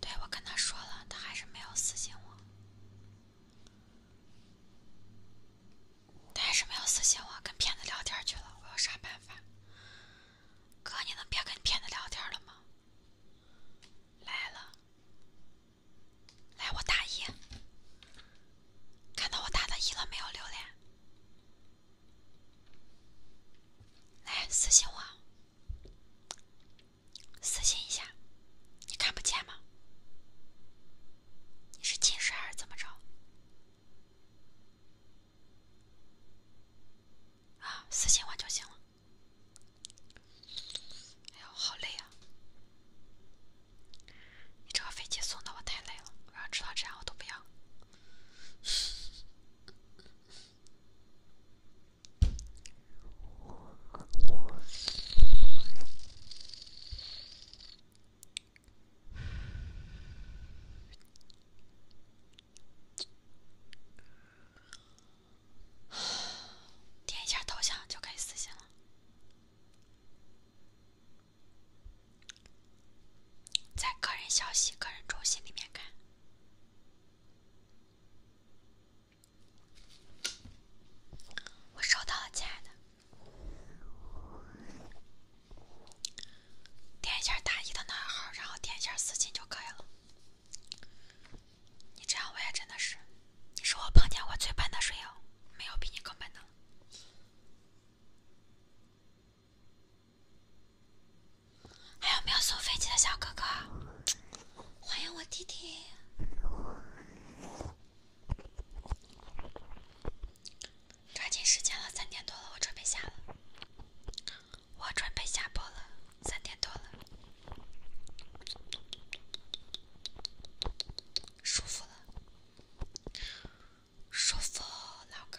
对，我跟他说了，他还是没有私信我，他还是没有私信我，跟骗子聊天去了，我有啥办法？哥，你能别跟骗子聊天了吗？来了，来我打一，看到我打的一了没有？榴莲，来私信我。私信一下，你看不见吗？你是近视还是怎么着？啊，私信我就行了。哎呦，好累啊！你这个飞机送的我太累了，我要知道这样我都不要。点一下头像就可以私信了，在个人消息、个人中心里面看。我收到了，亲爱的。点一下大一的那个号，然后点一下私信就可以了。你这样我也真的是，你是我碰见我最笨的水友，没有比你更笨的了。还有没有送飞机的小哥哥？欢迎我弟弟！抓紧时间了，三点多了，我准备下了。我准备下播了，三点多了，舒服了，舒服，老哥。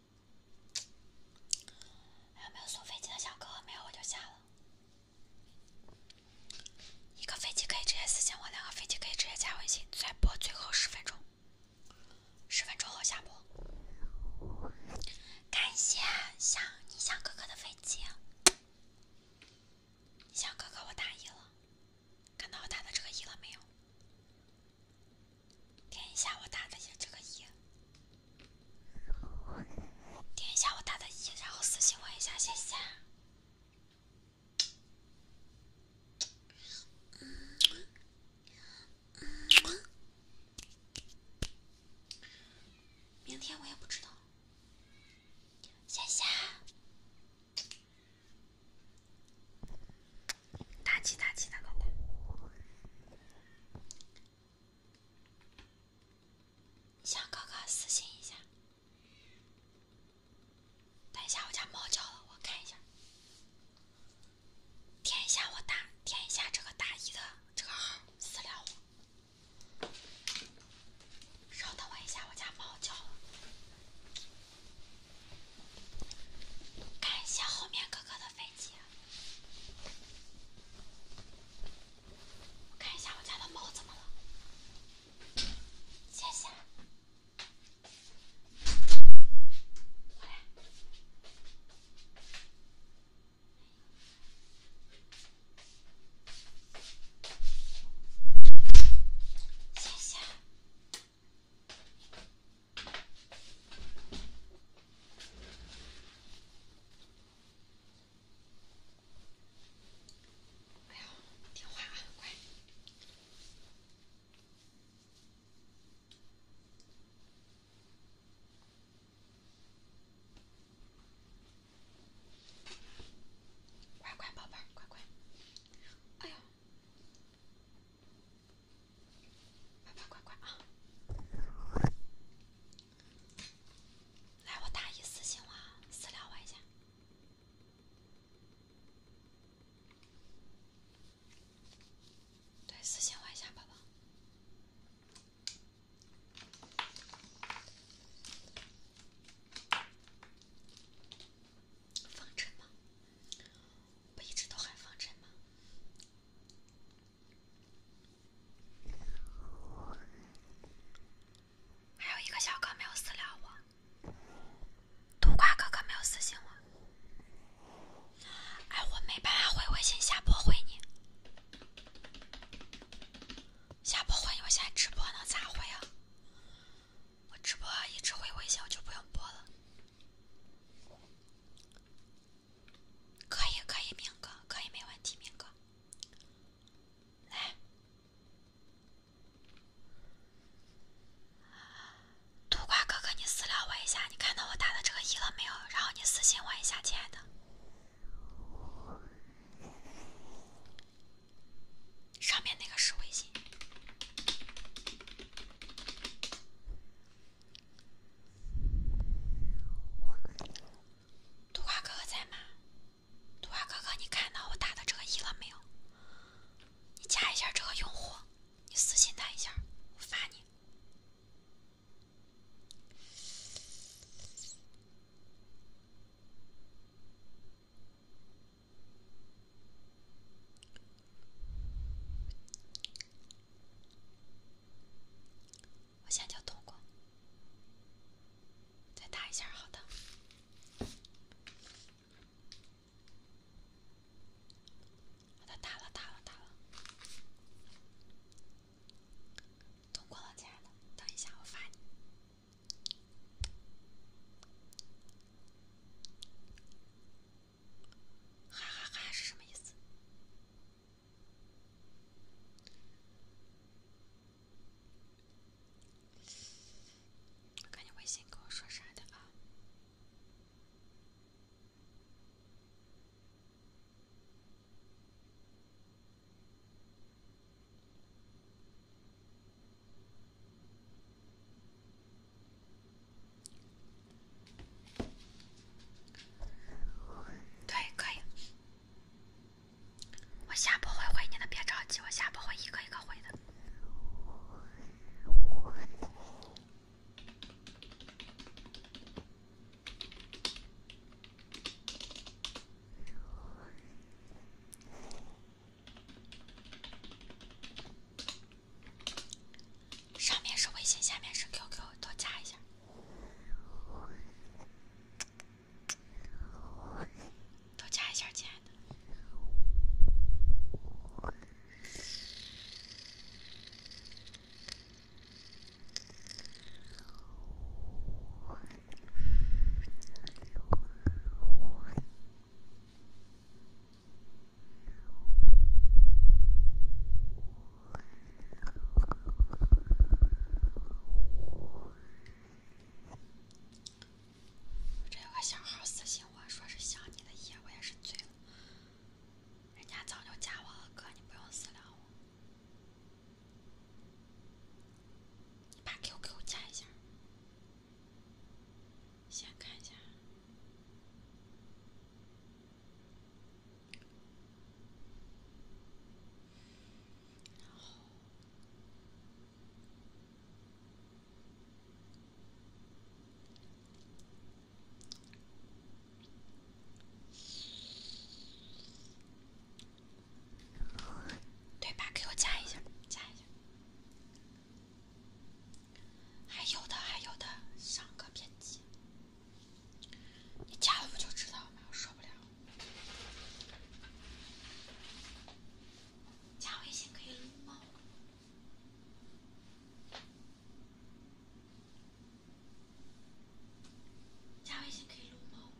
有没有送飞机的小哥哥？没有我就下了。一个飞机可以直接私信我，两个飞机可以直接加微信。再播最后十分钟，十分钟后下播。感谢向你向哥哥的飞机，向哥哥我打一了，看到我打的这个一了没有？点一下我打的这个一，点一下我打的一，然后私信我一下，谢谢。明天我也不知道，谢谢。大起大起的，打打！小哥哥私信一下。等一下，我家猫叫了，我看一下。点一下我大，点一下这个大姨的这个号私聊我。稍等我一下，我家猫叫了。感谢后面哥哥的飞机。我看一下我家的猫怎么了，谢谢，过来，谢谢。哎呦，听话啊，乖，乖乖宝贝儿，乖乖，哎呦。乖乖乖乖啊！来，我打一私信我，私聊我一下。对，私信我一下，宝宝。放尘吗？不一直都喊放尘吗？还有一个小哥没有私聊我，独瓜哥哥没有私信我。哎，我没办法回微信，下播回你。下播回你，我现在直播呢，咋回啊？我直播一回微信，我就不用播了。可以可以，明哥，可以没问题，明哥。来，杜瓜哥哥，你私聊我一下，你看到我打的这个一了没有？然后你私信我一下，亲爱的，上面那个是微信。杜瓜哥哥在吗？杜瓜哥哥，你看到我打的这个一了没有？你加一下这个用户，你私信他一下，我发你。[laughs] 我现在叫通过，再打一下，好的。我打了，打了，打了，通过了，亲爱的。等一下，我发你。哈哈哈是什么意思？我看你微信跟我说啥的啊？对，可以。我下播会回你的，别着急，我下播会一个一个回的。上面是微信，下面是 QQ，都加一下。多加一下，亲爱的。这有个小号私信我说是想你的夜，我也是醉了。人家早就加我了，哥，你不用私聊我。你把 QQ 加一下，先看一下。对吧？给我加一下，加一下。还有的，还有的，上个编辑。你加了不就知道了吗？我受不了。加微信可以撸猫。加微信可以撸猫。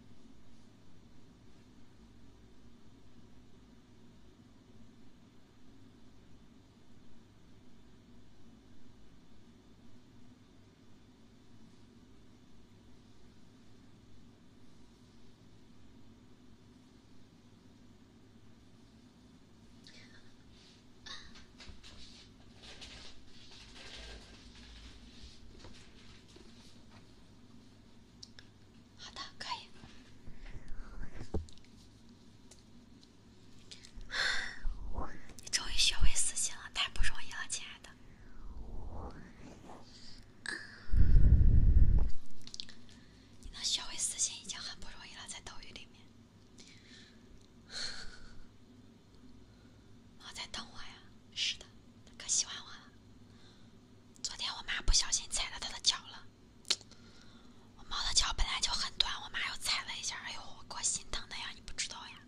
好的，可以。你终于学会私信了，太不容易了，亲爱的。你能学会私信已经很不容易了，在斗鱼里面。猫在等我呀，是的，它可喜欢我了。昨天我妈不小心踩到它的脚了，我猫的脚本来就很短，我妈又踩了一下，哎呦，我够心疼的呀，你不知道呀。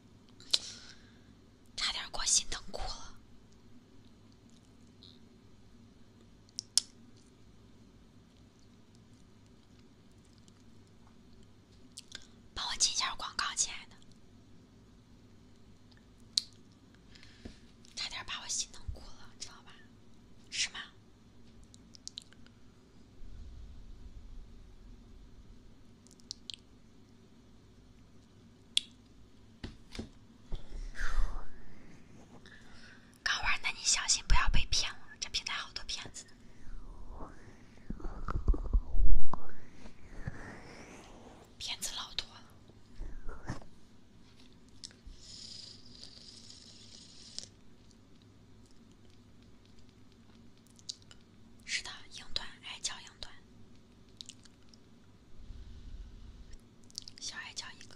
差点给我心疼哭了，帮我进下广告，亲爱的，差点把我心疼哭了，知道吧？是吗？刚玩，的你小心不要被骗了。这平台好多骗子，骗子老多。了。是的，英短矮脚英短，小矮脚一个。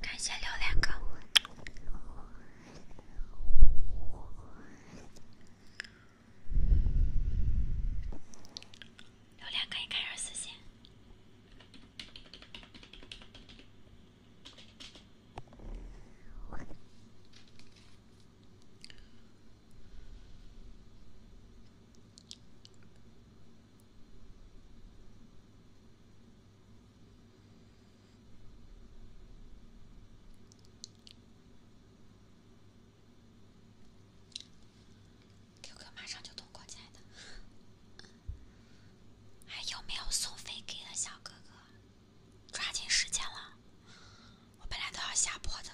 感谢榴莲哥，榴莲哥，你开下私信。QQ 马上就通过，亲爱的，还有没有送飞机的小哥哥？抓紧时间了，我本来都要下播的。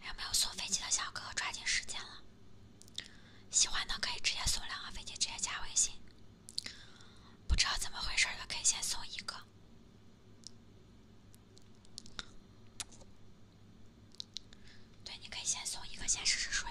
有没有送飞机的小哥？抓紧时间了！喜欢的可以直接送两个飞机，直接加微信。不知道怎么回事的，可以先送一个。对，你可以先送一个，先试试水。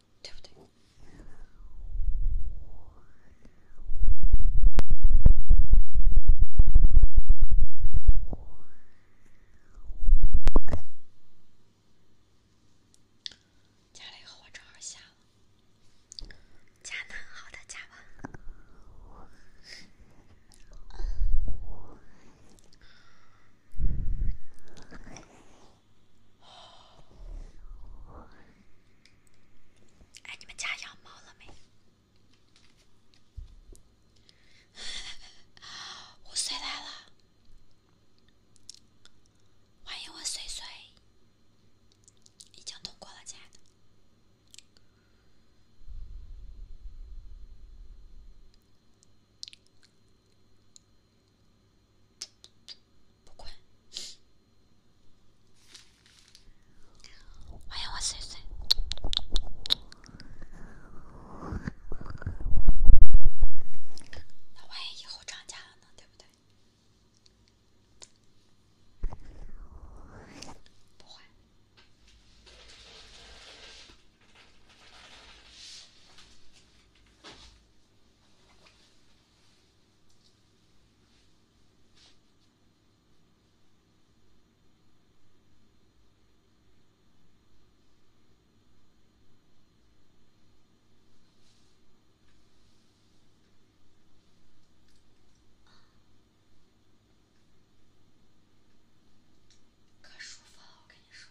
对对对，加了一个火正好下了，加呢？好的，加吧。哎，你们家养猫了没？[laughs] 我睡来了，欢迎我睡睡，已经通过了，亲爱的。不会，万一我碎碎，那万一以后涨价了，能顶不？不会。可舒服了，我跟你说。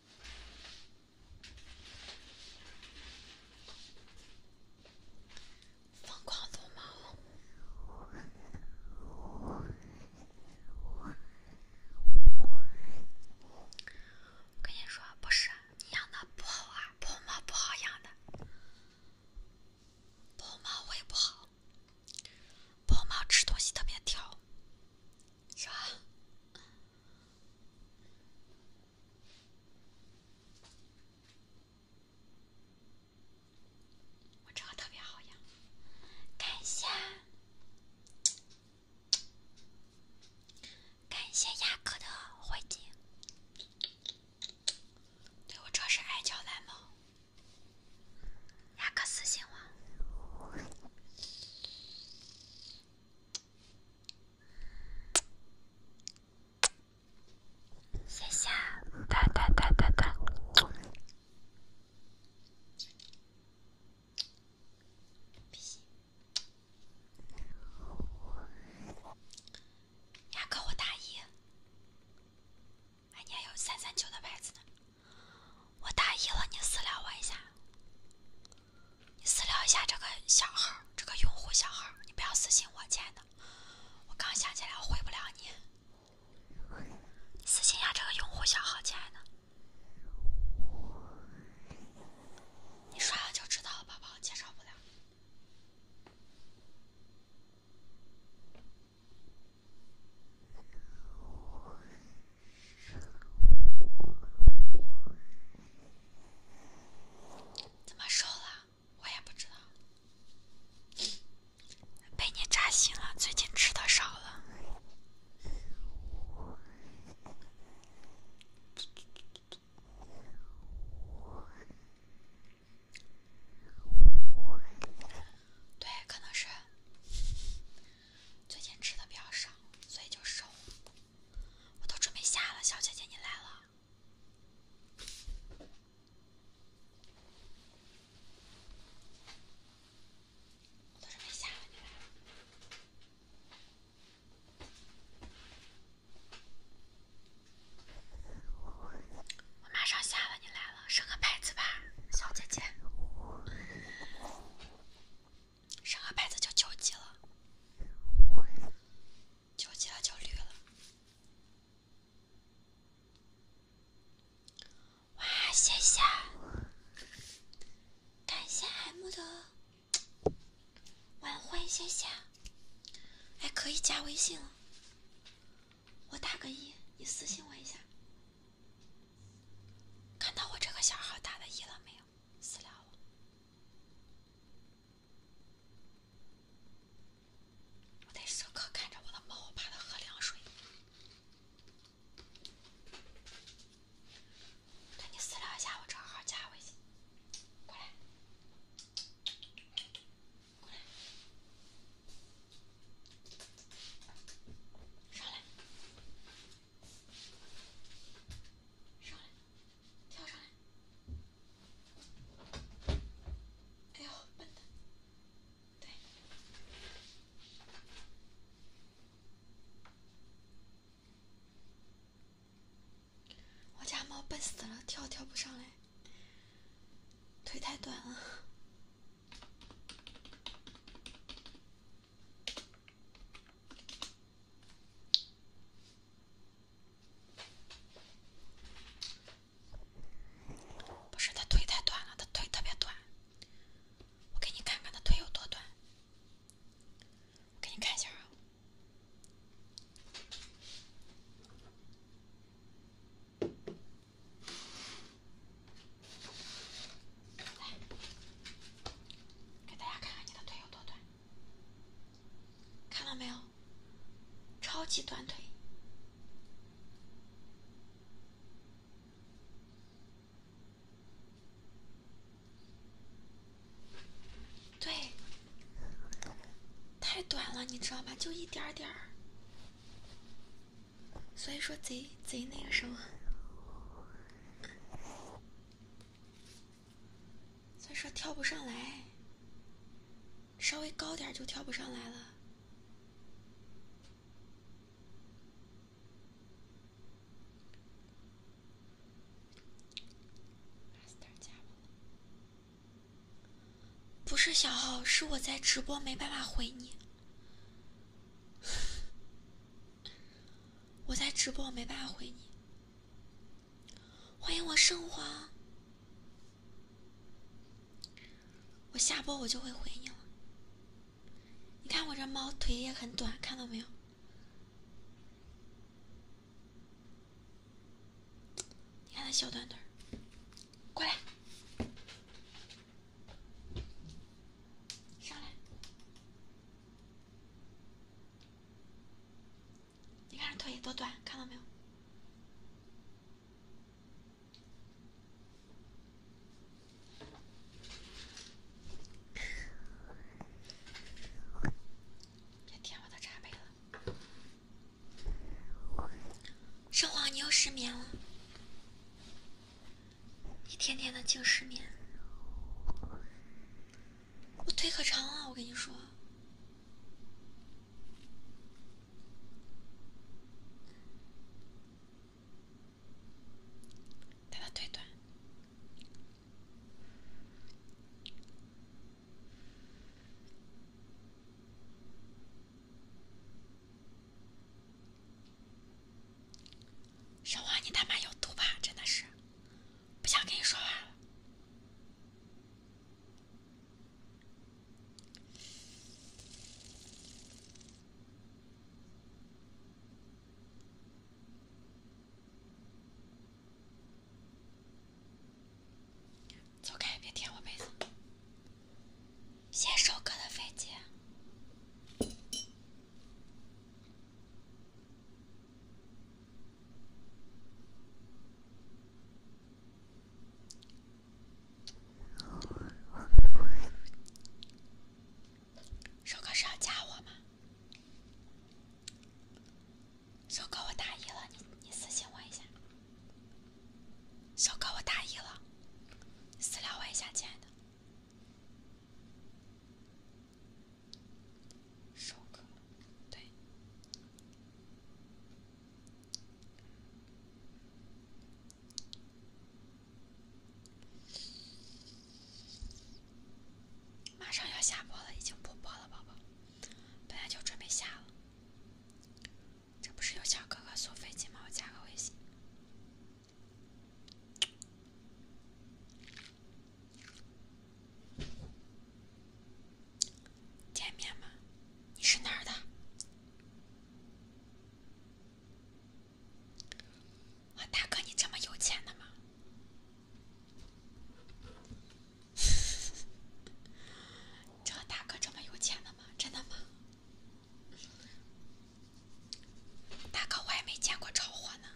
疯狂撸猫！我跟你说，不是养的不好啊，布偶猫不好养的，布偶猫会不好，布偶猫吃东西特别挑。啥？我这个特别好呀，感谢，感谢雅克的回金。对，我这是爱脚蓝猫，雅克私信我。谢谢。哒哒哒哒哒。不行。牙我大一，俺家有三三九的牌子呢。我大一了，你私聊我一下。你私聊一下这个小号，这个用户小号，你不要私信我，亲爱的。我刚想起来，我回不了你。私信一下这个用户小号，亲爱的。你刷了就知道了，宝宝，介绍不了。怎么瘦了？我也不知道，被你扎心了。最近吃的少了，对，可能是最近吃的比较少，所以就瘦。了。我都准备下了，小姐姐你来了。我都准备下了，你来了。我马上下了，你来了，升个牌子吧，小姐姐。上个牌子就九级了，九级了就绿了。哇，谢谢！感谢 M 的晚会，谢谢。哎，可以加微信了，我打个一，你私信我一下。看到我这个小号打的“一”了没有？私聊我，我得时刻看着我的猫，怕它喝凉水。赶紧私聊一下我正号加微信，过来，过来，上来。上来，跳上来！哎呦，笨的，对，我家猫笨死了，跳跳不上来，腿太短了。不是，他腿太短了，他腿特别短。我给你看看他腿有多短，我给你看一下。来，给大家看看你的腿有多短。看到没有？超级短腿，对，太短了，你知道吧？就一点点儿，所以说贼贼那个什么。再说跳不上来，稍微高点就跳不上来了。不是小号，是我在直播，没办法回你。[laughs] 我在直播，没办法回你。欢迎我圣皇，我下播我就会回你了。你看我这猫腿也很短，看到没有？你看它小短腿，过来，上来。你看腿多短，看到没有？别舔我的茶杯了，圣皇，你又失眠了，一天天的净失眠。我腿可长了，我跟你说，他的腿短。小花，你他妈有毒吧，真的是！不想跟你说话了，走开！别舔我被子。先首哥的飞机。少哥是要加我吗？少哥，我大一了，你你私信我一下。少哥，我大一了，私聊我一下，亲爱的。上课，对。马上要下播了，已经不播了，宝宝。本来就准备下了。这不是有小哥哥送飞机吗？我加个微信。见面吗？你是哪儿的？我大哥，你这么有钱的吗？[laughs] 这大哥这么有钱的吗？真的吗？大哥，我还没见过着火呢。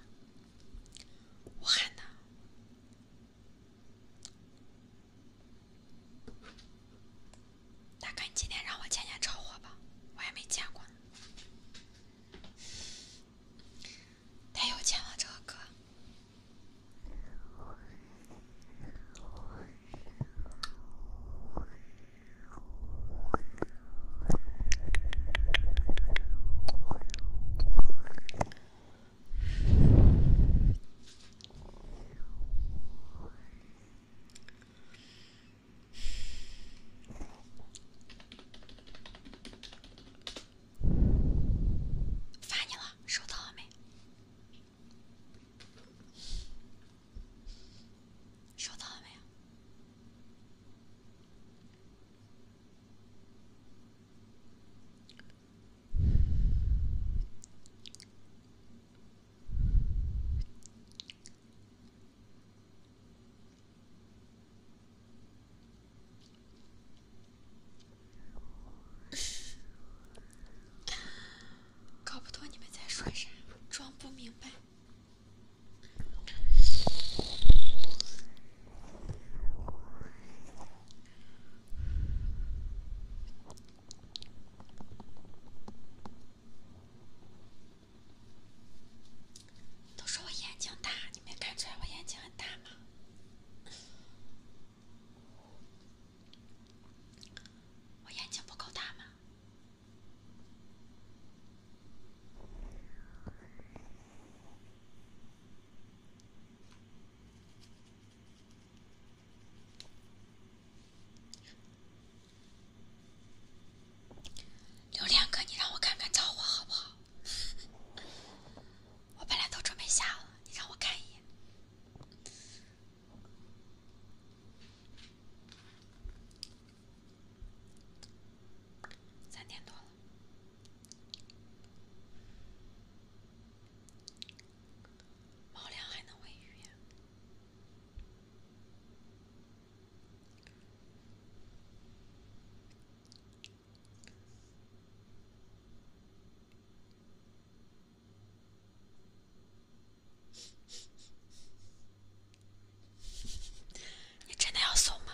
武汉的。大哥，你今天让我见见超火吧，我还没见过呢，太有钱了这个哥。发你了，收到了没？收到了没？搞不懂你们在说啥，装不明白。都说我眼睛大，你没看出来我眼睛很大吗？我眼睛不够大吗？刘连哥，你让我看看着火好不好？[laughs] 我本来都准备下了，你让我看一眼。三点多了。猫粮还能喂鱼？你真的要送吗？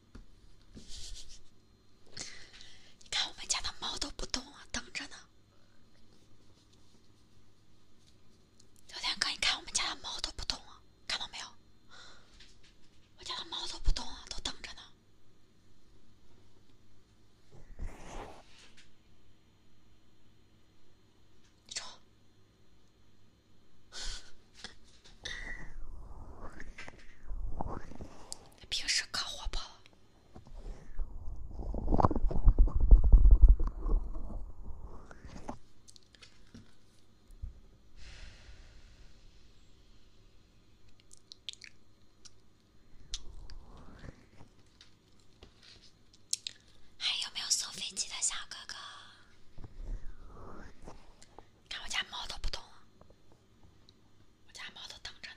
你看我们家的猫都不动了，等着呢。昨天哥，你看我们家的猫都不动了，看到没有？我家的猫都不动了，都等着呢。你瞅。平时可活泼了，还有没有送飞机的小哥哥？看我家猫都不动。我家猫都等着呢。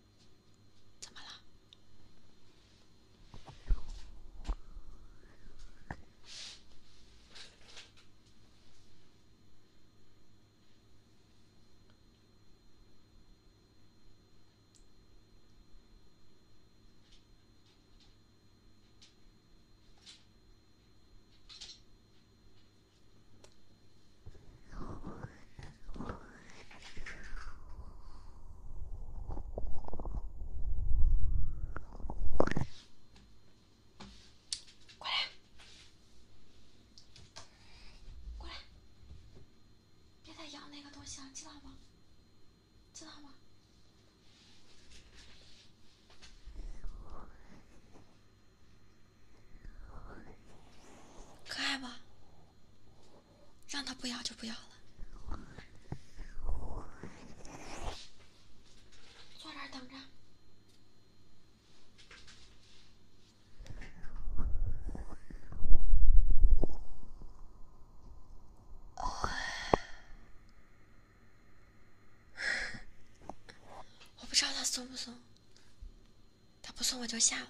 怎么了？过来，过来，别再咬那个东西了，知道吗？知道吗？可爱不？让他不要就不要了，坐这儿等着。我不知道他松不松，他不松我就下了。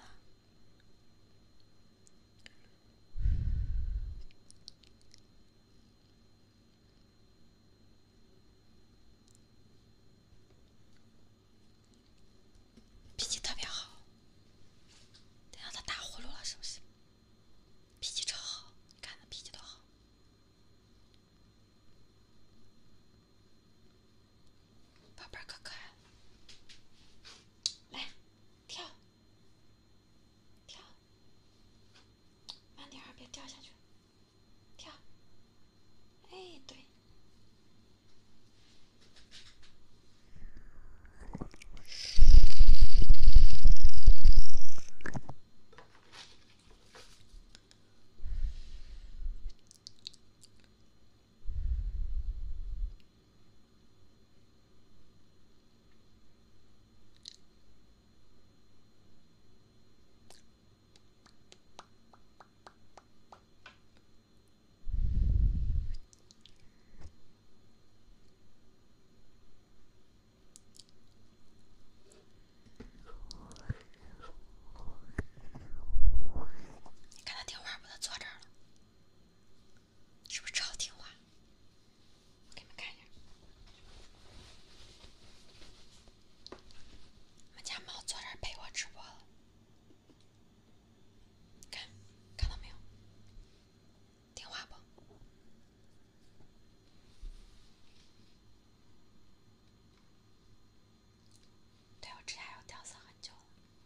脾气特别好，得让他打呼噜了是不是？脾气超好，你看他脾气多好，宝贝儿可可爱了，来，跳。跳，慢点儿，别掉下去。跳，哎，对。看他听话，不能坐这儿了。是不是超听话？我给你们看一下，我们家猫坐这儿陪我直播了，看，看到没有？听话不？对，我指甲要掉色很久了。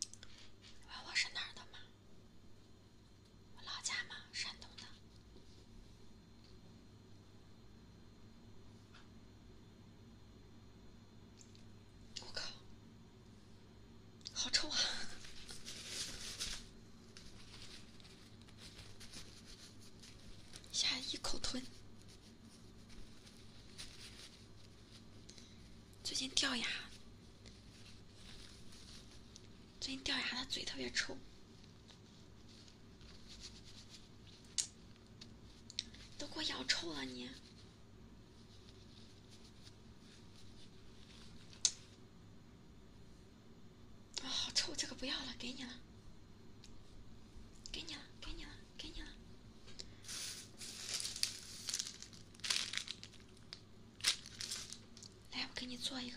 你问我是哪儿的吗？我老家嘛，山东的。我靠，好臭啊！一 [laughs] 下一口吞。最近掉牙，最近掉牙，的嘴特别臭，都给我咬臭了你！啊，好臭，这个不要了，给你了，给你了，给你了，给你了。来，我给你做一个。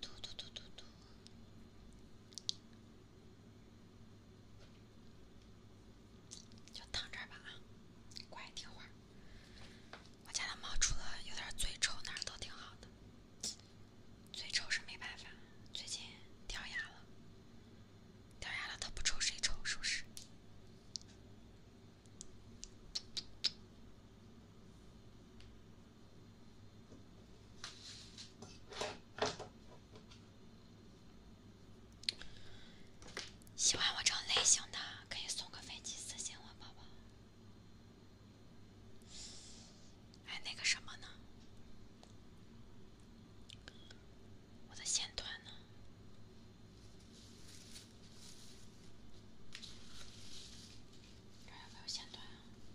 嘟嘟嘟嘟嘟，就躺这儿吧啊，乖听话。我家的猫除了有点嘴臭，哪儿都挺好的。嘴臭是没办法，最近掉牙了。掉牙了，它不臭，谁臭？是不是？喜欢我这种类型的，可以送个飞机私信我，宝宝。哎，那个什么呢？我的线断呢？这有没有线断啊？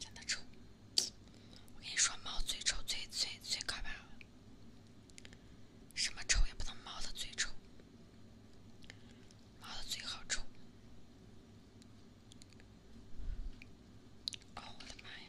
真的丑！我跟你说，猫嘴丑最最最可怕了，什么丑也不能猫的嘴丑，猫的嘴好丑！哦，我的妈呀！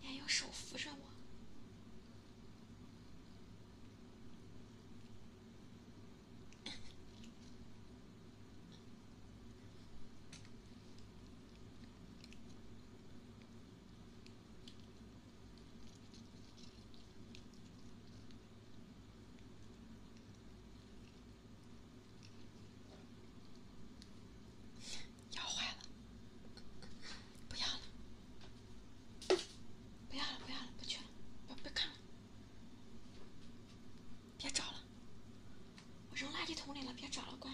你还要手扶着我。咬坏了，不要了，不要了，不要了，不去了，别看了，别找了，我扔垃圾桶里了，别找了，乖。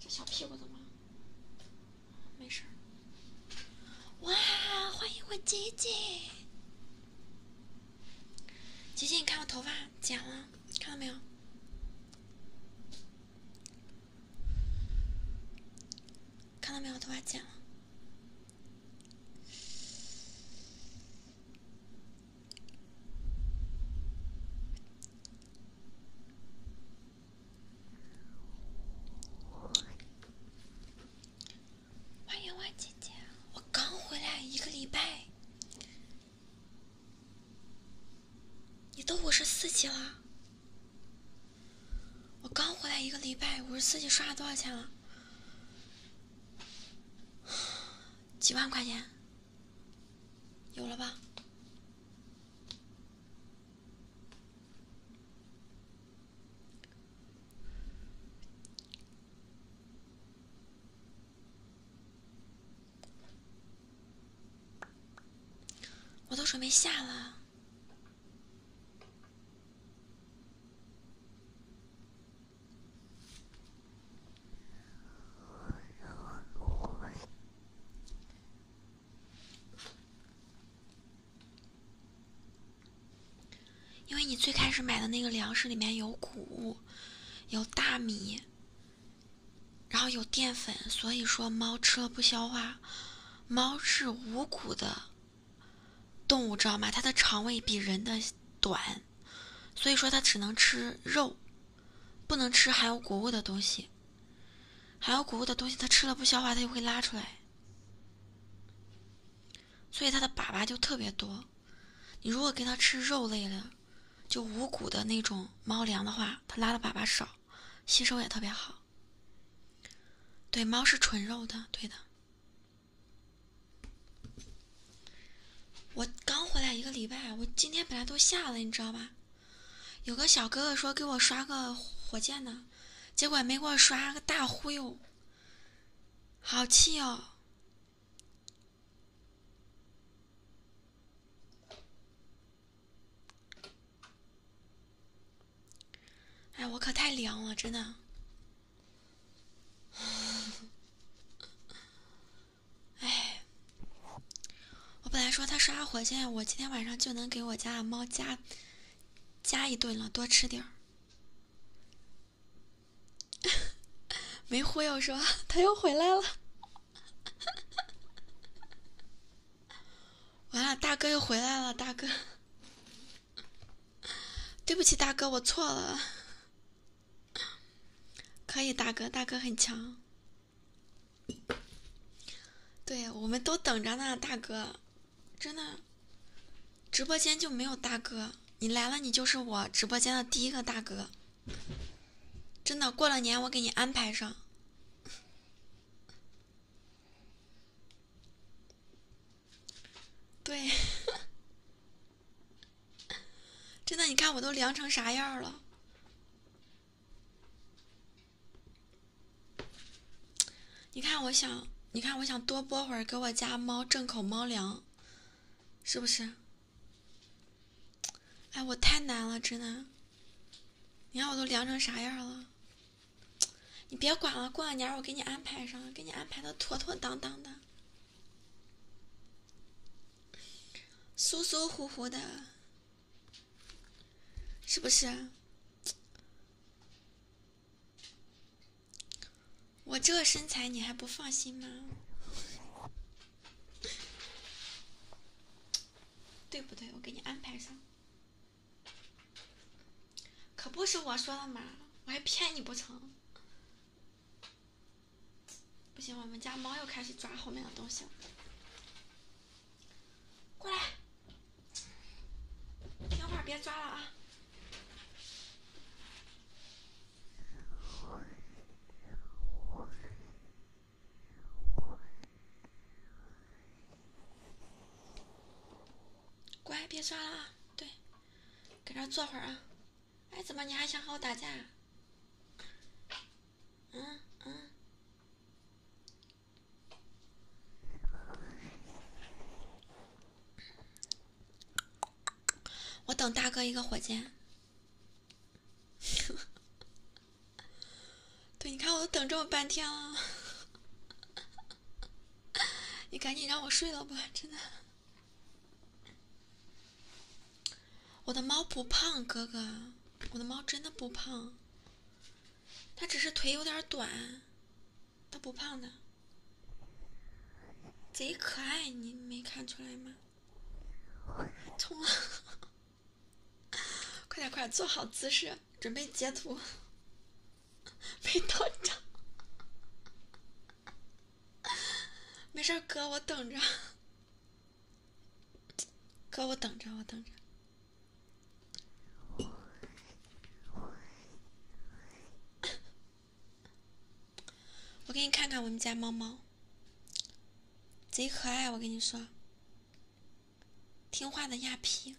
这小屁股怎么？没事哇，欢迎我姐姐。姐姐，你看我头发剪了，看到没有？看到没有？头发剪了。[laughs] 欢迎万姐姐，我刚回来一个礼拜，你都五十四级了。我刚回来一个礼拜，五十四级，刷了多少钱了？几万块钱，有了吧？我都准备下了。因为你最开始买的那个粮食里面有谷物，有大米，然后有淀粉，所以说猫吃了不消化。猫是无谷的动物，知道吗？它的肠胃比人的短，所以说它只能吃肉，不能吃含有谷物的东西。含有谷物的东西它吃了不消化，它就会拉出来。所以它的粑粑就特别多，你如果给它吃肉类的，就无谷的那种猫粮的话，它拉的粑粑少，吸收也特别好。对，猫是纯肉的，对的。我刚回来一个礼拜，我今天本来都下了，你知道吧？有个小哥哥说给我刷个火箭呢，结果没给我刷个大忽悠，好气哦。哎，我可太凉了，真的。哎，我本来说他刷火箭，我今天晚上就能给我家的猫加，加一顿了，多吃点儿。[laughs] 没忽悠是吧？[laughs] 他又回来了，完了，大哥又回来了，大哥，对不起，大哥，我错了，可以，大哥，大哥很强，对，我们都等着呢，大哥，真的，直播间就没有大哥。你来了，你就是我直播间的第一个大哥。真的，过了年我给你安排上。对，真的，你看我都凉成啥样了。你看，我想，你看，我想多播会儿，给我家猫挣口猫粮，是不是？哎，我太难了，真的。你看我都凉成啥样了，你别管了，过完年我给你安排上，给你安排的妥妥当当的，舒舒服服的，是不是？我这身材你还不放心吗？对不对？我给你安排上。可不是我说的嘛，我还骗你不成？不行，我们家猫又开始抓后面的东西了。过来，听话，别抓了啊！乖，别刷了啊！对，搁这坐会儿啊！哎，怎么你还想和我打架？嗯嗯。我等大哥一个火箭。对，你看我都等这么半天了，你赶紧让我睡了吧，真的。我的猫不胖，哥哥，我的猫真的不胖，它只是腿有点短，它不胖的，贼可爱，你没看出来吗？[laughs] 冲了，快点快点，做好姿势，准备截图，没到着，没事，哥我等着，哥我等着我等着。我给你看看我们家猫猫，贼可爱，我跟你说，听话的亚皮，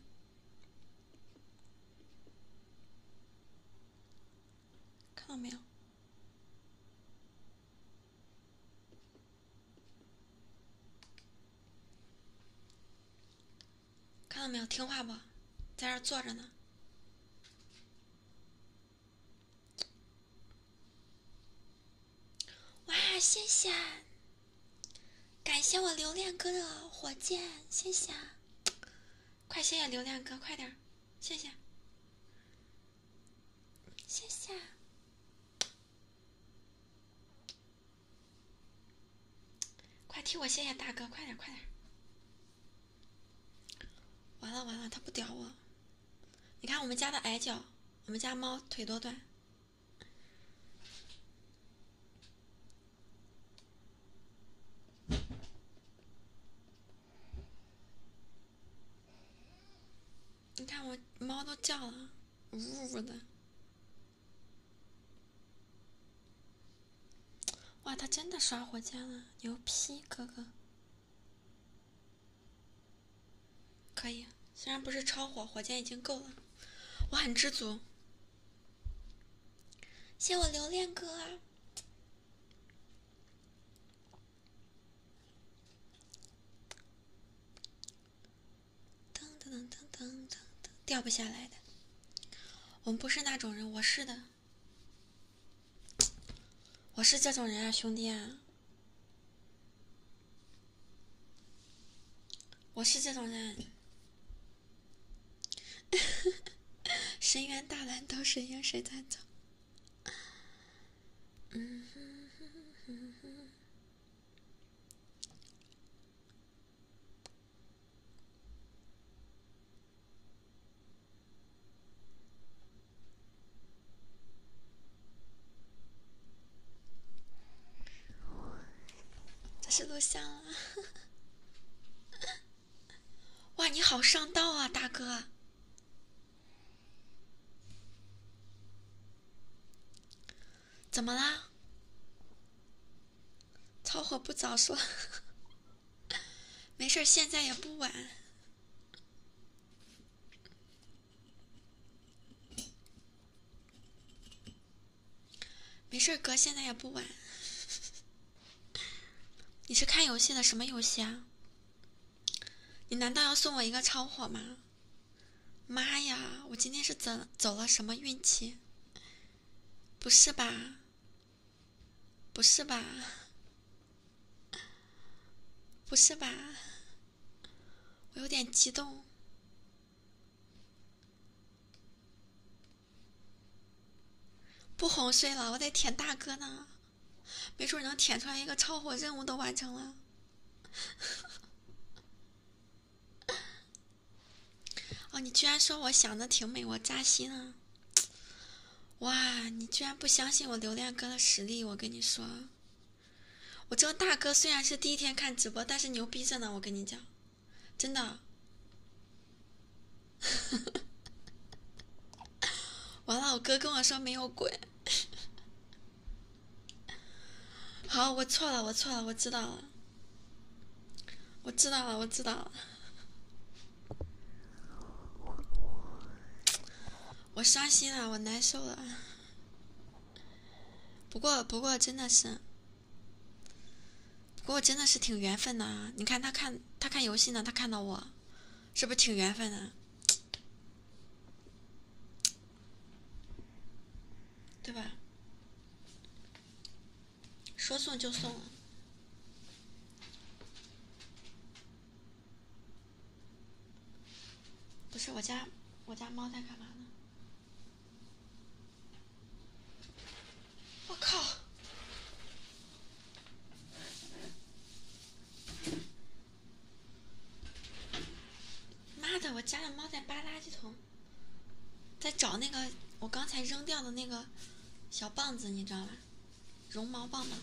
看到没有？看到没有？听话不？在这坐着呢。哇，谢谢！感谢我流量哥的火箭，谢谢！快谢谢流量哥，快点，谢谢，谢谢！快替我谢谢大哥，快点，快点！完了完了，他不屌我。你看我们家的矮脚，我们家猫腿多短。你看我猫都叫了，呜呜的。哇，它真的刷火箭了，牛批哥哥！可以，虽然不是超火，火箭已经够了，我很知足。谢我留恋哥啊！噔噔噔噔噔噔，掉不下来的。我们不是那种人，我是的。[tsk] 我是这种人啊，兄弟！啊，我是这种人，深 [laughs] 渊大乱斗，谁赢谁惨走？嗯这是录像啊！哇，你好上道啊，大哥！怎么啦？超火不早说？[laughs] 没事，现在也不晚。没事哥，现在也不晚。你是看游戏的什么游戏啊？你难道要送我一个超火吗？妈呀，我今天是怎走了什么运气？不是吧？不是吧？不是吧！我有点激动，不哄睡了，我得舔大哥呢，没准能舔出来一个超火任务都完成了。[laughs] 哦，你居然说我想的挺美，我扎心了。哇，你居然不相信我流量哥的实力！我跟你说，我这个大哥虽然是第一天看直播，但是牛逼着呢！我跟你讲，真的。[laughs] 完了，我哥跟我说没有鬼。好，我错了，我错了，我知道了，我知道了，我知道了。我伤心了，我难受了。不过，不过真的是，不过真的是挺缘分的。你看他看他看游戏呢，他看到我，是不是挺缘分的？对吧？说送就送不是我家，我家猫在干嘛呢？我靠！妈的，我家的猫在扒垃圾桶，在找那个我刚才扔掉的那个小棒子，你知道吗？绒毛棒吗？